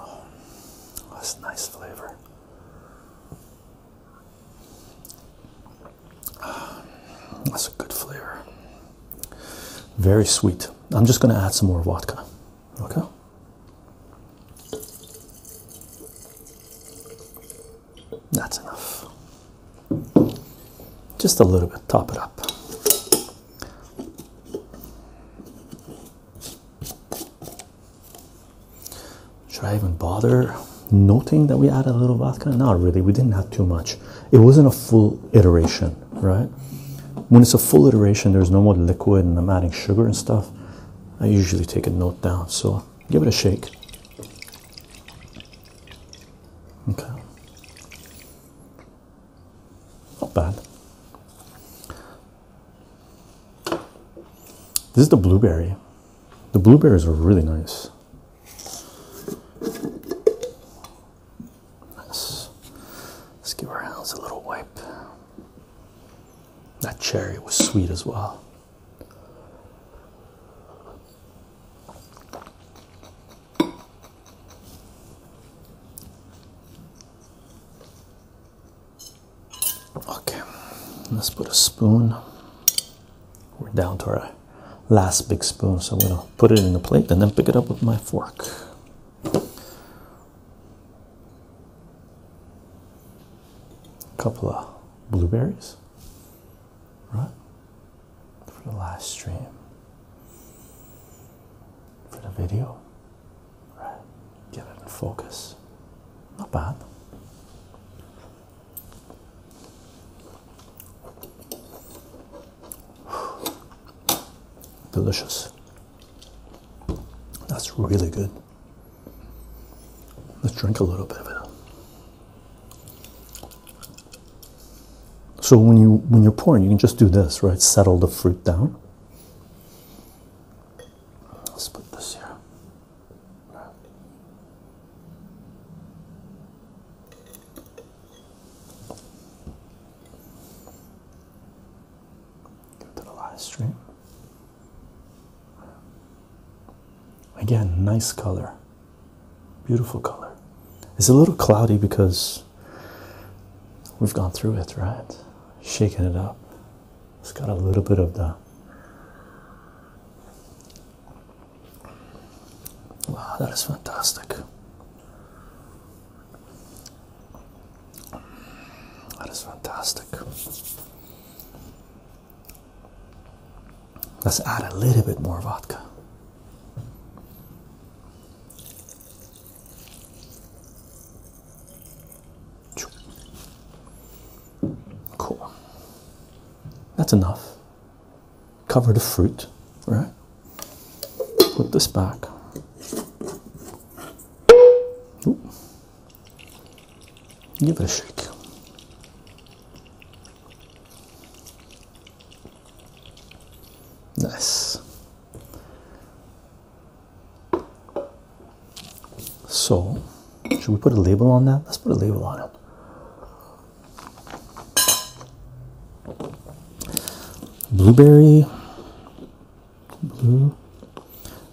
Oh, that's nice flavor. Um, that's a good flavor. Very sweet. I'm just going to add some more vodka. Okay. That's enough. Just a little bit, top it up. Should I even bother noting that we added a little vodka? Not really, we didn't have too much. It wasn't a full iteration, right? When it's a full iteration, there's no more liquid and I'm adding sugar and stuff. I usually take a note down, so give it a shake. Okay. Not bad. This is the blueberry. The blueberries are really nice. Let's, give our hands a little wipe. That cherry was sweet as well. Okay, let's put a spoon. We're down to our last big spoon. So I'm going to put it in the plate and then pick it up with my fork. A couple of blueberries, right? For the last stream, for the video, right? Get it in focus. Not bad. Delicious. That's really good. Let's drink a little bit of it. So when you when you're pouring, you can just do this, right? Settle the fruit down. Let's put this here to the live stream. Again, nice color, beautiful color. It's a little cloudy because we've gone through it, right? Shaking it up. It's got a little bit of the. Wow, that is fantastic. That is fantastic. Let's add a little bit more vodka. Cool. That's enough cover the fruit, right? Put this back. Give it a shake. Nice. So, should we put a label on that? Let's put a label on it. Blueberry,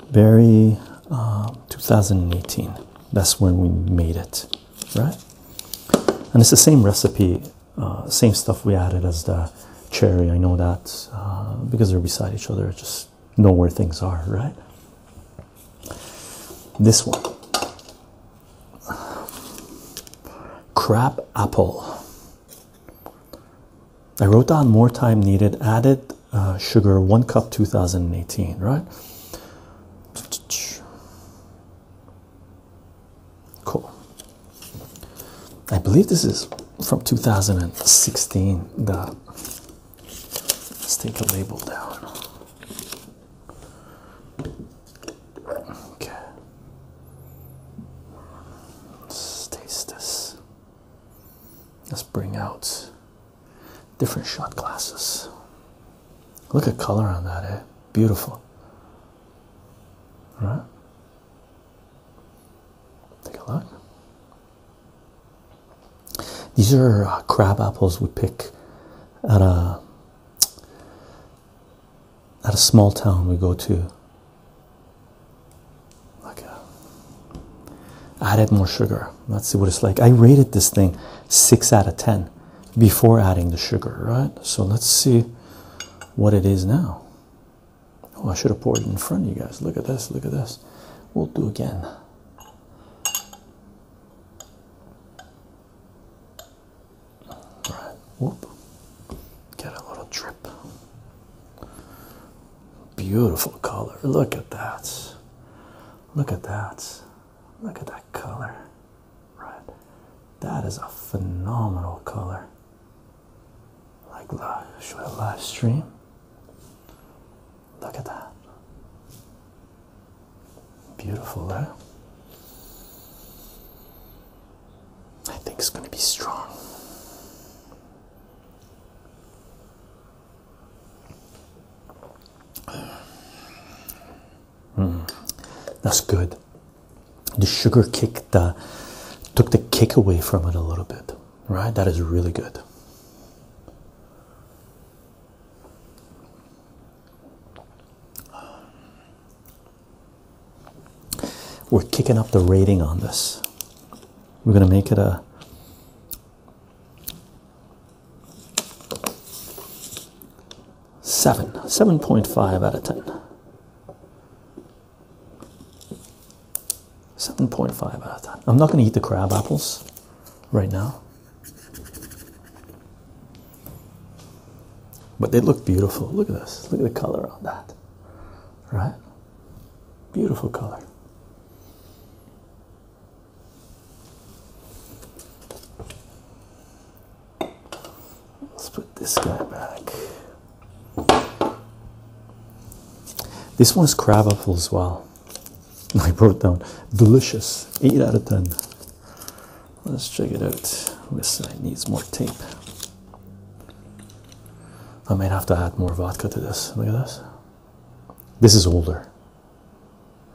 Blueberry uh, 2018. That's when we made it, right? And it's the same recipe, uh, same stuff we added as the cherry. I know that uh, because they're beside each other, I just know where things are, right? This one Crap apple. I wrote down more time needed, added uh, sugar, one cup 2018, right? Cool. I believe this is from 2016. The, let's take a label down. Okay. Let's taste this. Let's bring out different shot glasses. Look at color on that, eh? Beautiful. right? Take a look. These are uh, crab apples we pick at a uh, at a small town we go to like a, uh, added more sugar let's see what it's like i rated this thing 6 out of 10 before adding the sugar right so let's see what it is now oh i should have poured it in front of you guys look at this look at this we'll do again Right, whoop. Get a little drip. Beautiful color. Look at that. Look at that. Look at that color. Right. That is a phenomenal color. Like live. Should I live stream? Look at that. Beautiful there. I think it's going to be strong. Mm, that's good. The sugar kicked the, took the kick away from it a little bit, right? That is really good. We're kicking up the rating on this. We're going to make it a seven, 7.5 out of 10. 7.5 out of 10. I'm not going to eat the crab apples right now. But they look beautiful. Look at this. Look at the color on that right? Beautiful color. Let's put this guy back. This one's crab apple as well. I wrote down delicious, 8 out of 10. Let's check it out. This side needs more tape. I might have to add more vodka to this. Look at this. This is older,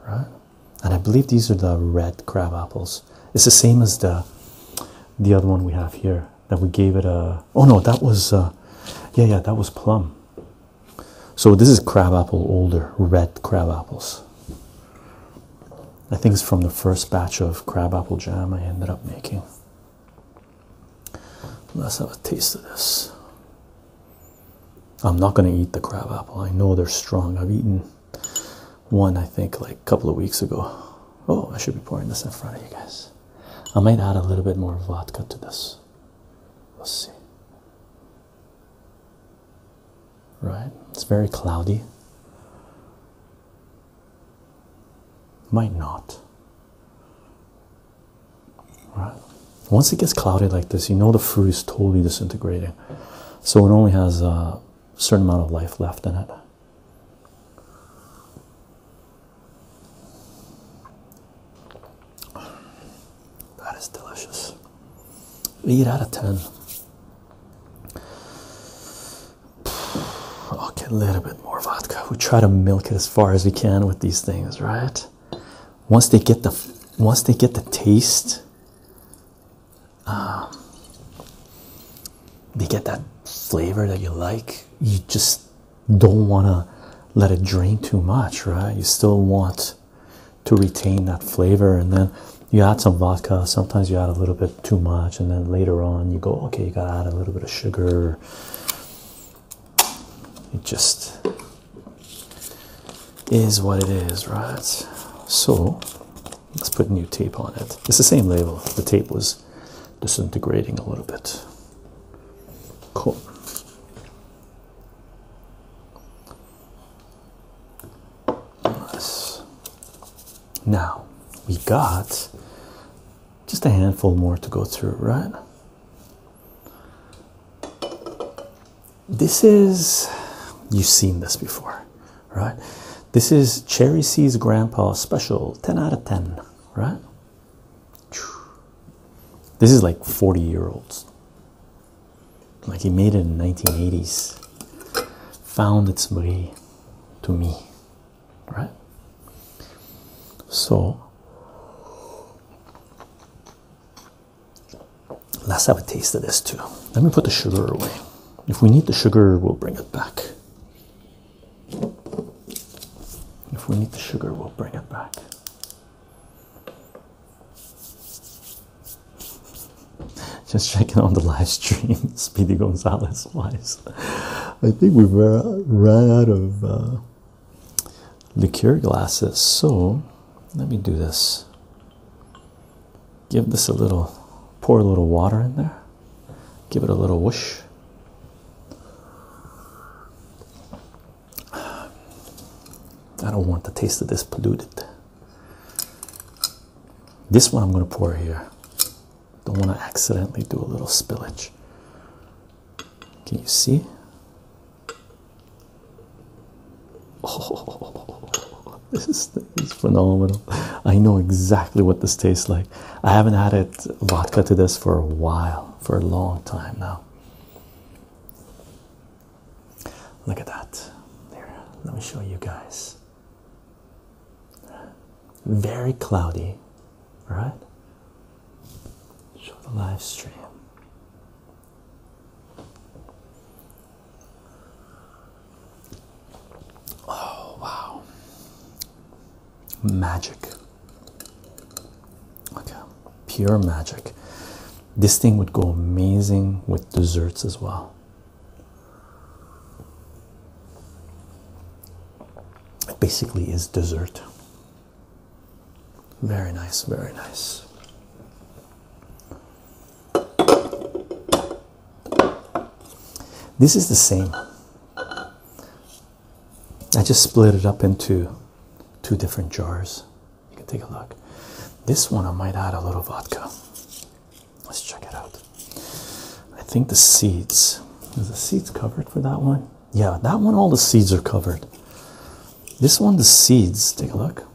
right? And I believe these are the red crab apples. It's the same as the the other one we have here that we gave it a. Oh no, that was uh, yeah yeah that was plum. So this is crab apple older, red crab apples. I think it's from the first batch of crabapple jam I ended up making. Let's have a taste of this. I'm not going to eat the crabapple. I know they're strong. I've eaten one, I think, like a couple of weeks ago. Oh, I should be pouring this in front of you guys. I might add a little bit more vodka to this. We'll see. Right? It's very cloudy. Might not. Right? Once it gets cloudy like this, you know the fruit is totally disintegrating. So it only has a certain amount of life left in it. That is delicious. 8 out of 10. Okay, a little bit more vodka. We try to milk it as far as we can with these things, right? Once they get the once they get the taste, um, they get that flavor that you like. You just don't want to let it drain too much, right? You still want to retain that flavor, and then you add some vodka. Sometimes you add a little bit too much, and then later on you go, okay, you gotta add a little bit of sugar. It just is what it is, right? So let's put new tape on it. It's the same label, the tape was disintegrating a little bit. Cool. Nice. Now we got just a handful more to go through, right? This is, you've seen this before, right? This is Cherry C's Grandpa Special, 10 out of 10, right? This is like 40 year olds. Like he made it in 1980s. Found its way to me, right? So let's have a taste of this too. Let me put the sugar away. If we need the sugar, we'll bring it back. If we need the sugar, we'll bring it back. Just checking on the live stream, Speedy Gonzalez wise. I think we've run out of uh, liqueur glasses, so let me do this. Give this a little, pour a little water in there, give it a little whoosh. I don't want the taste of this polluted. This one I'm going to pour here. Don't want to accidentally do a little spillage. Can you see? Oh, this is, this is phenomenal. I know exactly what this tastes like. I haven't added vodka to this for a while, for a long time now. Look at that. There, let me show you guys. Very cloudy, right? Show the live stream. Oh, wow. Magic. Okay, pure magic. This thing would go amazing with desserts as well. It basically is dessert. Very nice, very nice. This is the same. I just split it up into two different jars. You can take a look. This one I might add a little vodka. Let's check it out. I think the seeds. Is the seeds covered for that one? Yeah, that one, all the seeds are covered. This one, the seeds, take a look.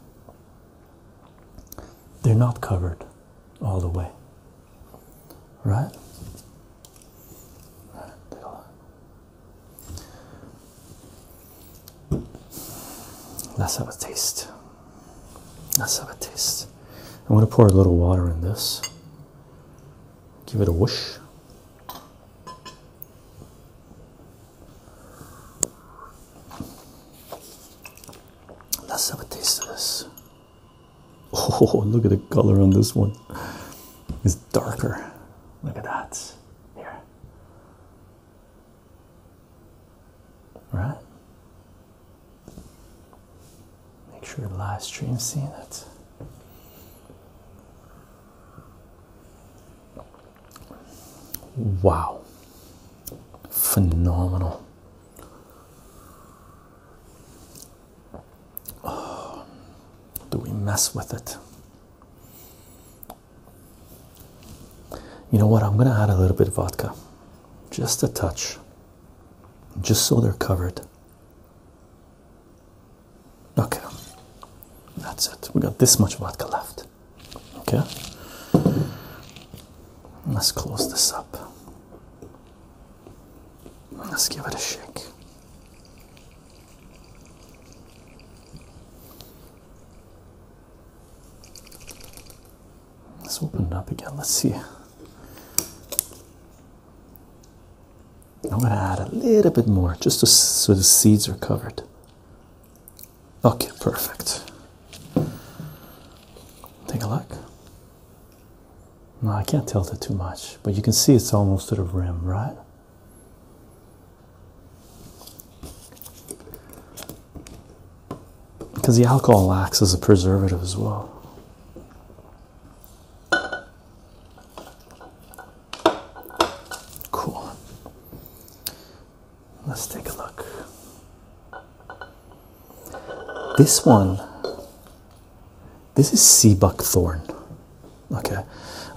They're not covered all the way. Right? That's how it tastes. That's how it tastes. I'm going to pour a little water in this. Give it a whoosh. Let's have a taste of Oh, look at the color on this one. It's darker. Look at that. Here. All right? Make sure live stream seeing it. Wow. Phenomenal. Oh, do we mess with it? You know what? I'm going to add a little bit of vodka. Just a touch. Just so they're covered. Okay, that's it. We got this much vodka left. Okay, let's close this up. Let's give it a shake. Let's open it up again. Let's see. I'm going to add a little bit more just so the seeds are covered. Okay, perfect. Take a look. No, I can't tilt it too much, but you can see it's almost to the rim, right? Because the alcohol acts as a preservative as well. Cool. Let's take a look. This one, this is sea buckthorn. Okay,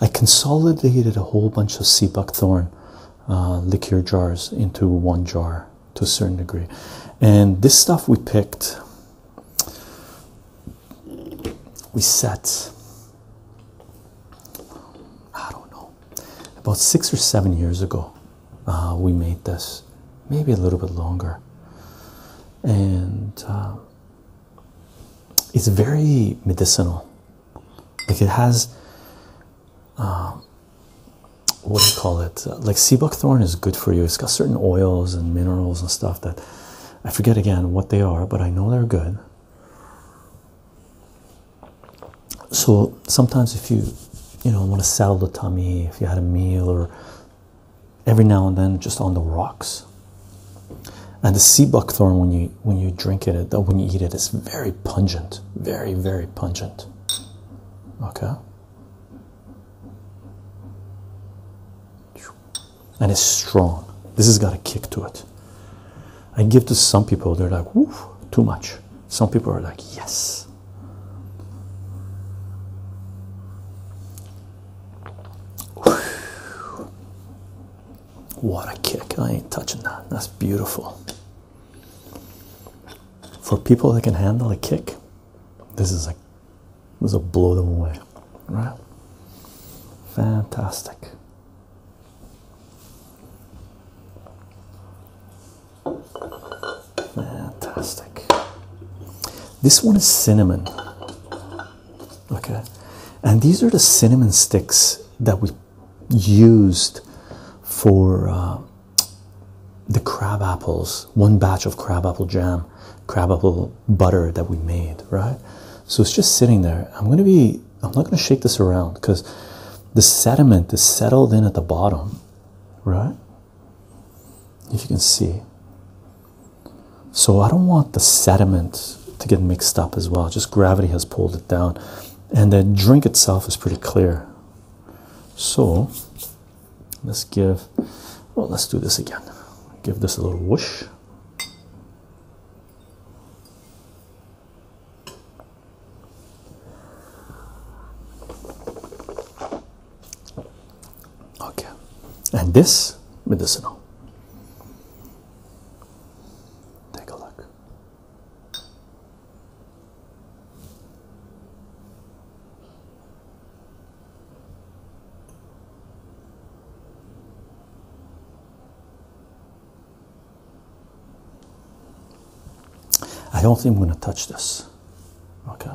I consolidated a whole bunch of sea buckthorn uh, liqueur jars into one jar to a certain degree, and this stuff we picked we set I don't know about six or seven years ago uh, we made this maybe a little bit longer and um, it's very medicinal like it has um, what do you call it like sea buckthorn is good for you it's got certain oils and minerals and stuff that I forget again what they are, but I know they're good. So sometimes if you you know want to sell the tummy, if you had a meal or every now and then just on the rocks. And the sea buckthorn when you when you drink it, it when you eat it, it's very pungent, very, very pungent. Okay and it's strong. This has got a kick to it. I give to some people, they're like, woof, too much. Some people are like, yes. What a kick. I ain't touching that. That's beautiful. For people that can handle a kick, this is a this will blow them away, right? Fantastic. Fantastic. This one is cinnamon. Okay. And these are the cinnamon sticks that we used for uh, the crab apples, one batch of crab apple jam crab butter that we made, right? So it's just sitting there. I'm gonna be, I'm not gonna shake this around because the sediment is settled in at the bottom, right? If you can see. So I don't want the sediment to get mixed up as well. Just gravity has pulled it down. And the drink itself is pretty clear. So let's give, well, oh, let's do this again. Give this a little whoosh. Okay, and this medicinal. Take a look. I don't think we're going to touch this. Okay.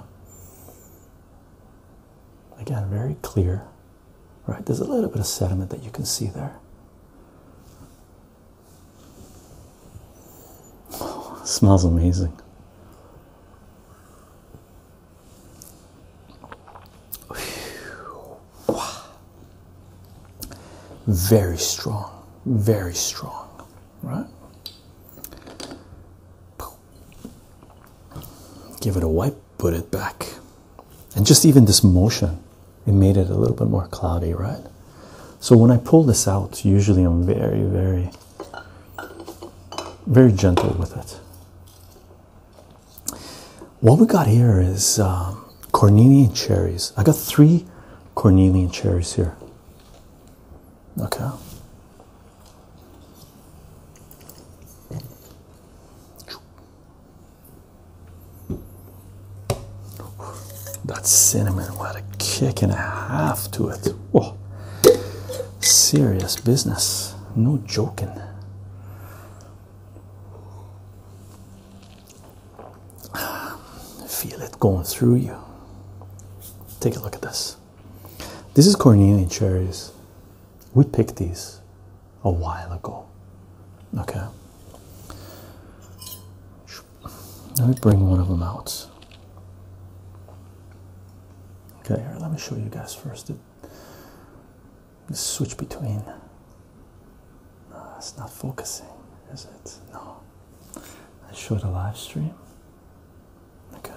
Again, very clear, right? There's a little bit of sediment that you can see there. smells amazing. Very strong, very strong, right? Give it a wipe, put it back. And just even this motion, it made it a little bit more cloudy, right? So when I pull this out, usually I'm very, very, very gentle with it. What we got here is um, cornelian cherries. I got three cornelian cherries here. Okay. That cinnamon what a kick and a half to it. Serious business. No joking. Feel it going through you. Take a look at this. This is Cornelian cherries. We picked these a while ago. Okay. Let me bring one of them out. Okay, here, let me show you guys first switch between. No, it's not focusing, is it? No. I show the live stream. Okay.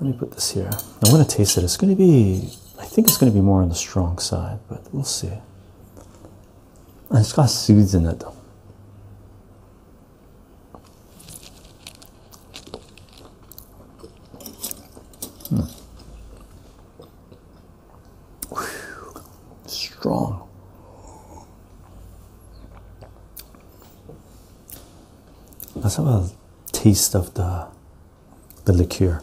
Let me put this here. I'm gonna taste it. It's gonna be I think it's gonna be more on the strong side, but we'll see. And it's got seeds in it though. Mm. Strong. Let's have a taste of the the liqueur.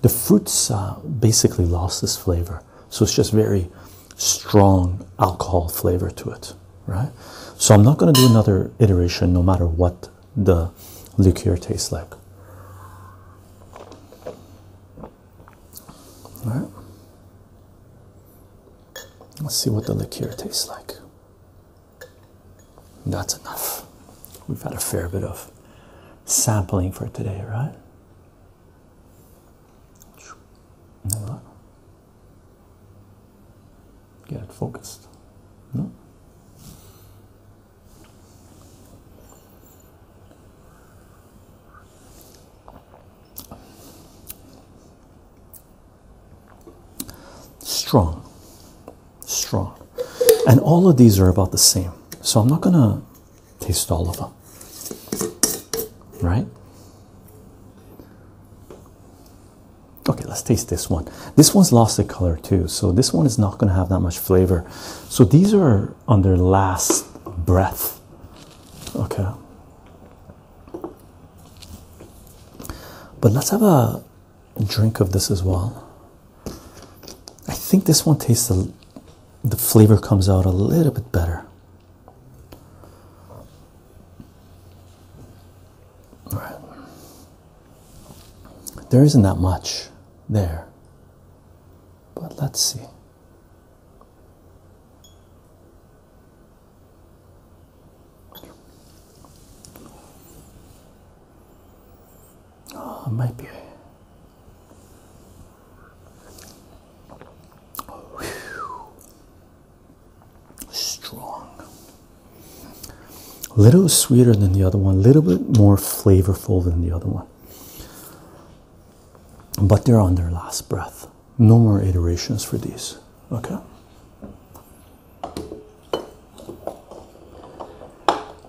The fruits uh, basically lost this flavor, so it's just very strong alcohol flavor to it, right? So I'm not going to do another iteration, no matter what the liqueur tastes like. All right. Let's see what the liqueur tastes like. That's enough. We've had a fair bit of sampling for today, right? Get focused. No? Strong, strong, and all of these are about the same. So I'm not gonna taste all of them, right? Okay, let's taste this one. This one's lost the color too, so this one is not gonna have that much flavor. So these are on their last breath. Okay. But let's have a drink of this as well. I think this one tastes a, the flavor comes out a little bit better. All right. There isn't that much there. But let's see. Oh, strong. A little sweeter than the other one, a little bit more flavorful than the other one. But they're on their last breath. No more iterations for these. Okay.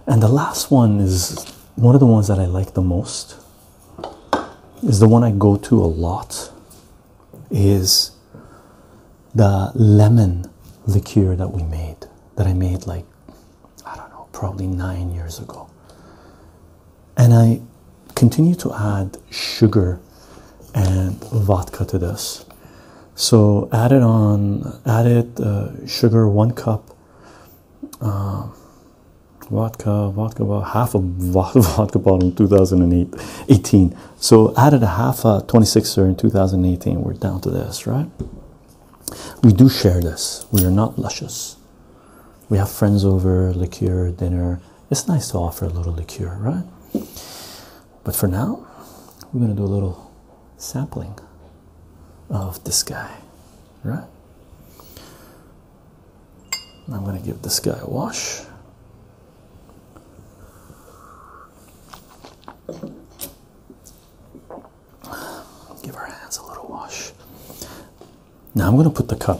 And the last one is one of the ones that I like the most. Is the one I go to a lot. Is the lemon liqueur that we made that I made like I don't know, probably nine years ago. And I continue to add sugar and vodka to this. So added on, added uh, sugar one cup, um, vodka, vodka, half a vodka bottle in 2018. So added a half a uh, 26er in 2018. We're down to this, right? We do share this. We are not luscious. We have friends over, liqueur, dinner. It's nice to offer a little liqueur, right? But for now, we're going to do a little sampling of this guy, right? I'm going to give this guy a wash. Give our hands a little wash. Now I'm going to put the cup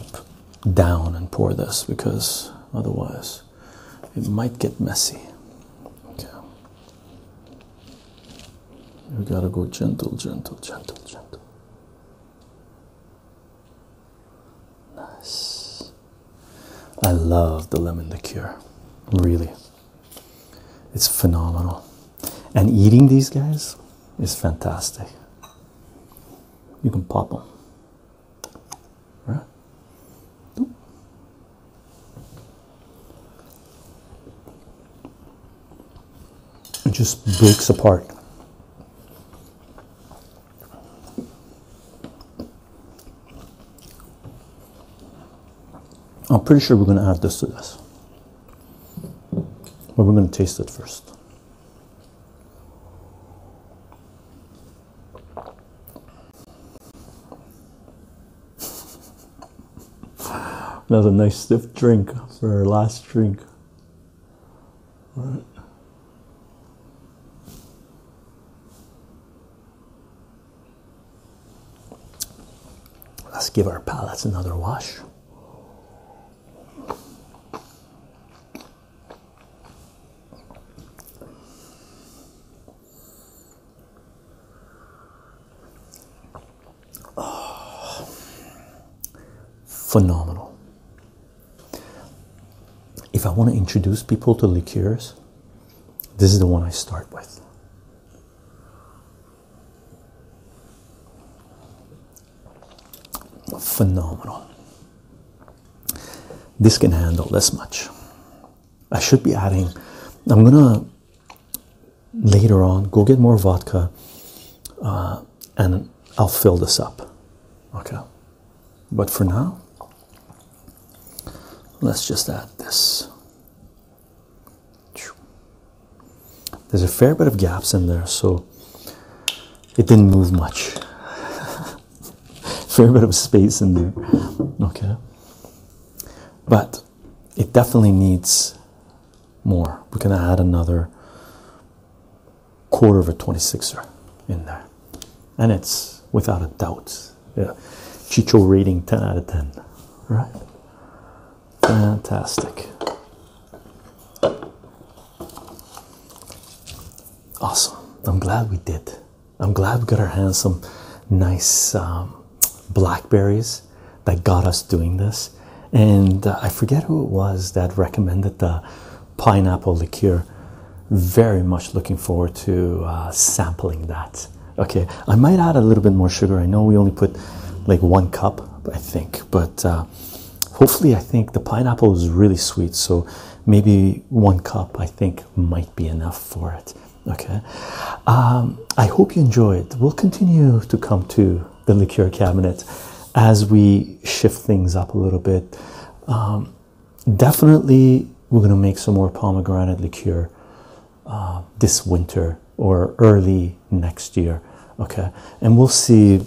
down and pour this because otherwise it might get messy. Okay. We got to go gentle, gentle, gentle, gentle. Nice. I love the lemon liqueur, really. It's phenomenal. And eating these guys is fantastic. You can pop them. Right? It just breaks apart. I'm pretty sure we're going to add this to this. But we're going to taste it first. Another nice stiff drink for our last drink. All right. Let's give our palettes another wash. Oh, phenomenal. If I want to introduce people to liqueurs, this is the one I start with. Phenomenal. This can handle this much. I should be adding, I'm gonna later on go get more vodka uh, and I'll fill this up. Okay, but for now, let's just add this. There's a fair bit of gaps in there, so it didn't move much. fair bit of space in there, okay. But it definitely needs more. We're gonna add another quarter of a 26er in there, and it's without a doubt, yeah. Chicho rating 10 out of 10, right? Fantastic. Awesome. I'm glad we did. I'm glad we got our hands some nice um, blackberries that got us doing this. And uh, I forget who it was that recommended the pineapple liqueur. Very much looking forward to uh, sampling that. Okay, I might add a little bit more sugar. I know we only put like one cup, I think, but uh, hopefully, I think the pineapple is really sweet, so maybe one cup I think might be enough for it. Okay, um, I hope you enjoyed. We'll continue to come to the liqueur cabinet as we shift things up a little bit. Um, definitely, we're going to make some more pomegranate liqueur uh, this winter or early next year. Okay, and we'll see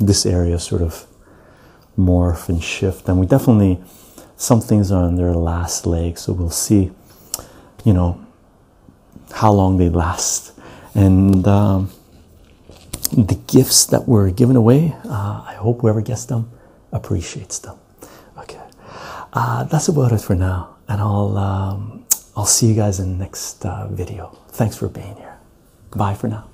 this area sort of morph and shift, and we definitely some things are on their last leg, so we'll see, you know, how long they last. And um, the gifts that were given away, uh, I hope whoever gets them appreciates them. Okay, uh, that's about it for now, and I'll um, I'll see you guys in the next uh, video. Thanks for being here. Bye for now.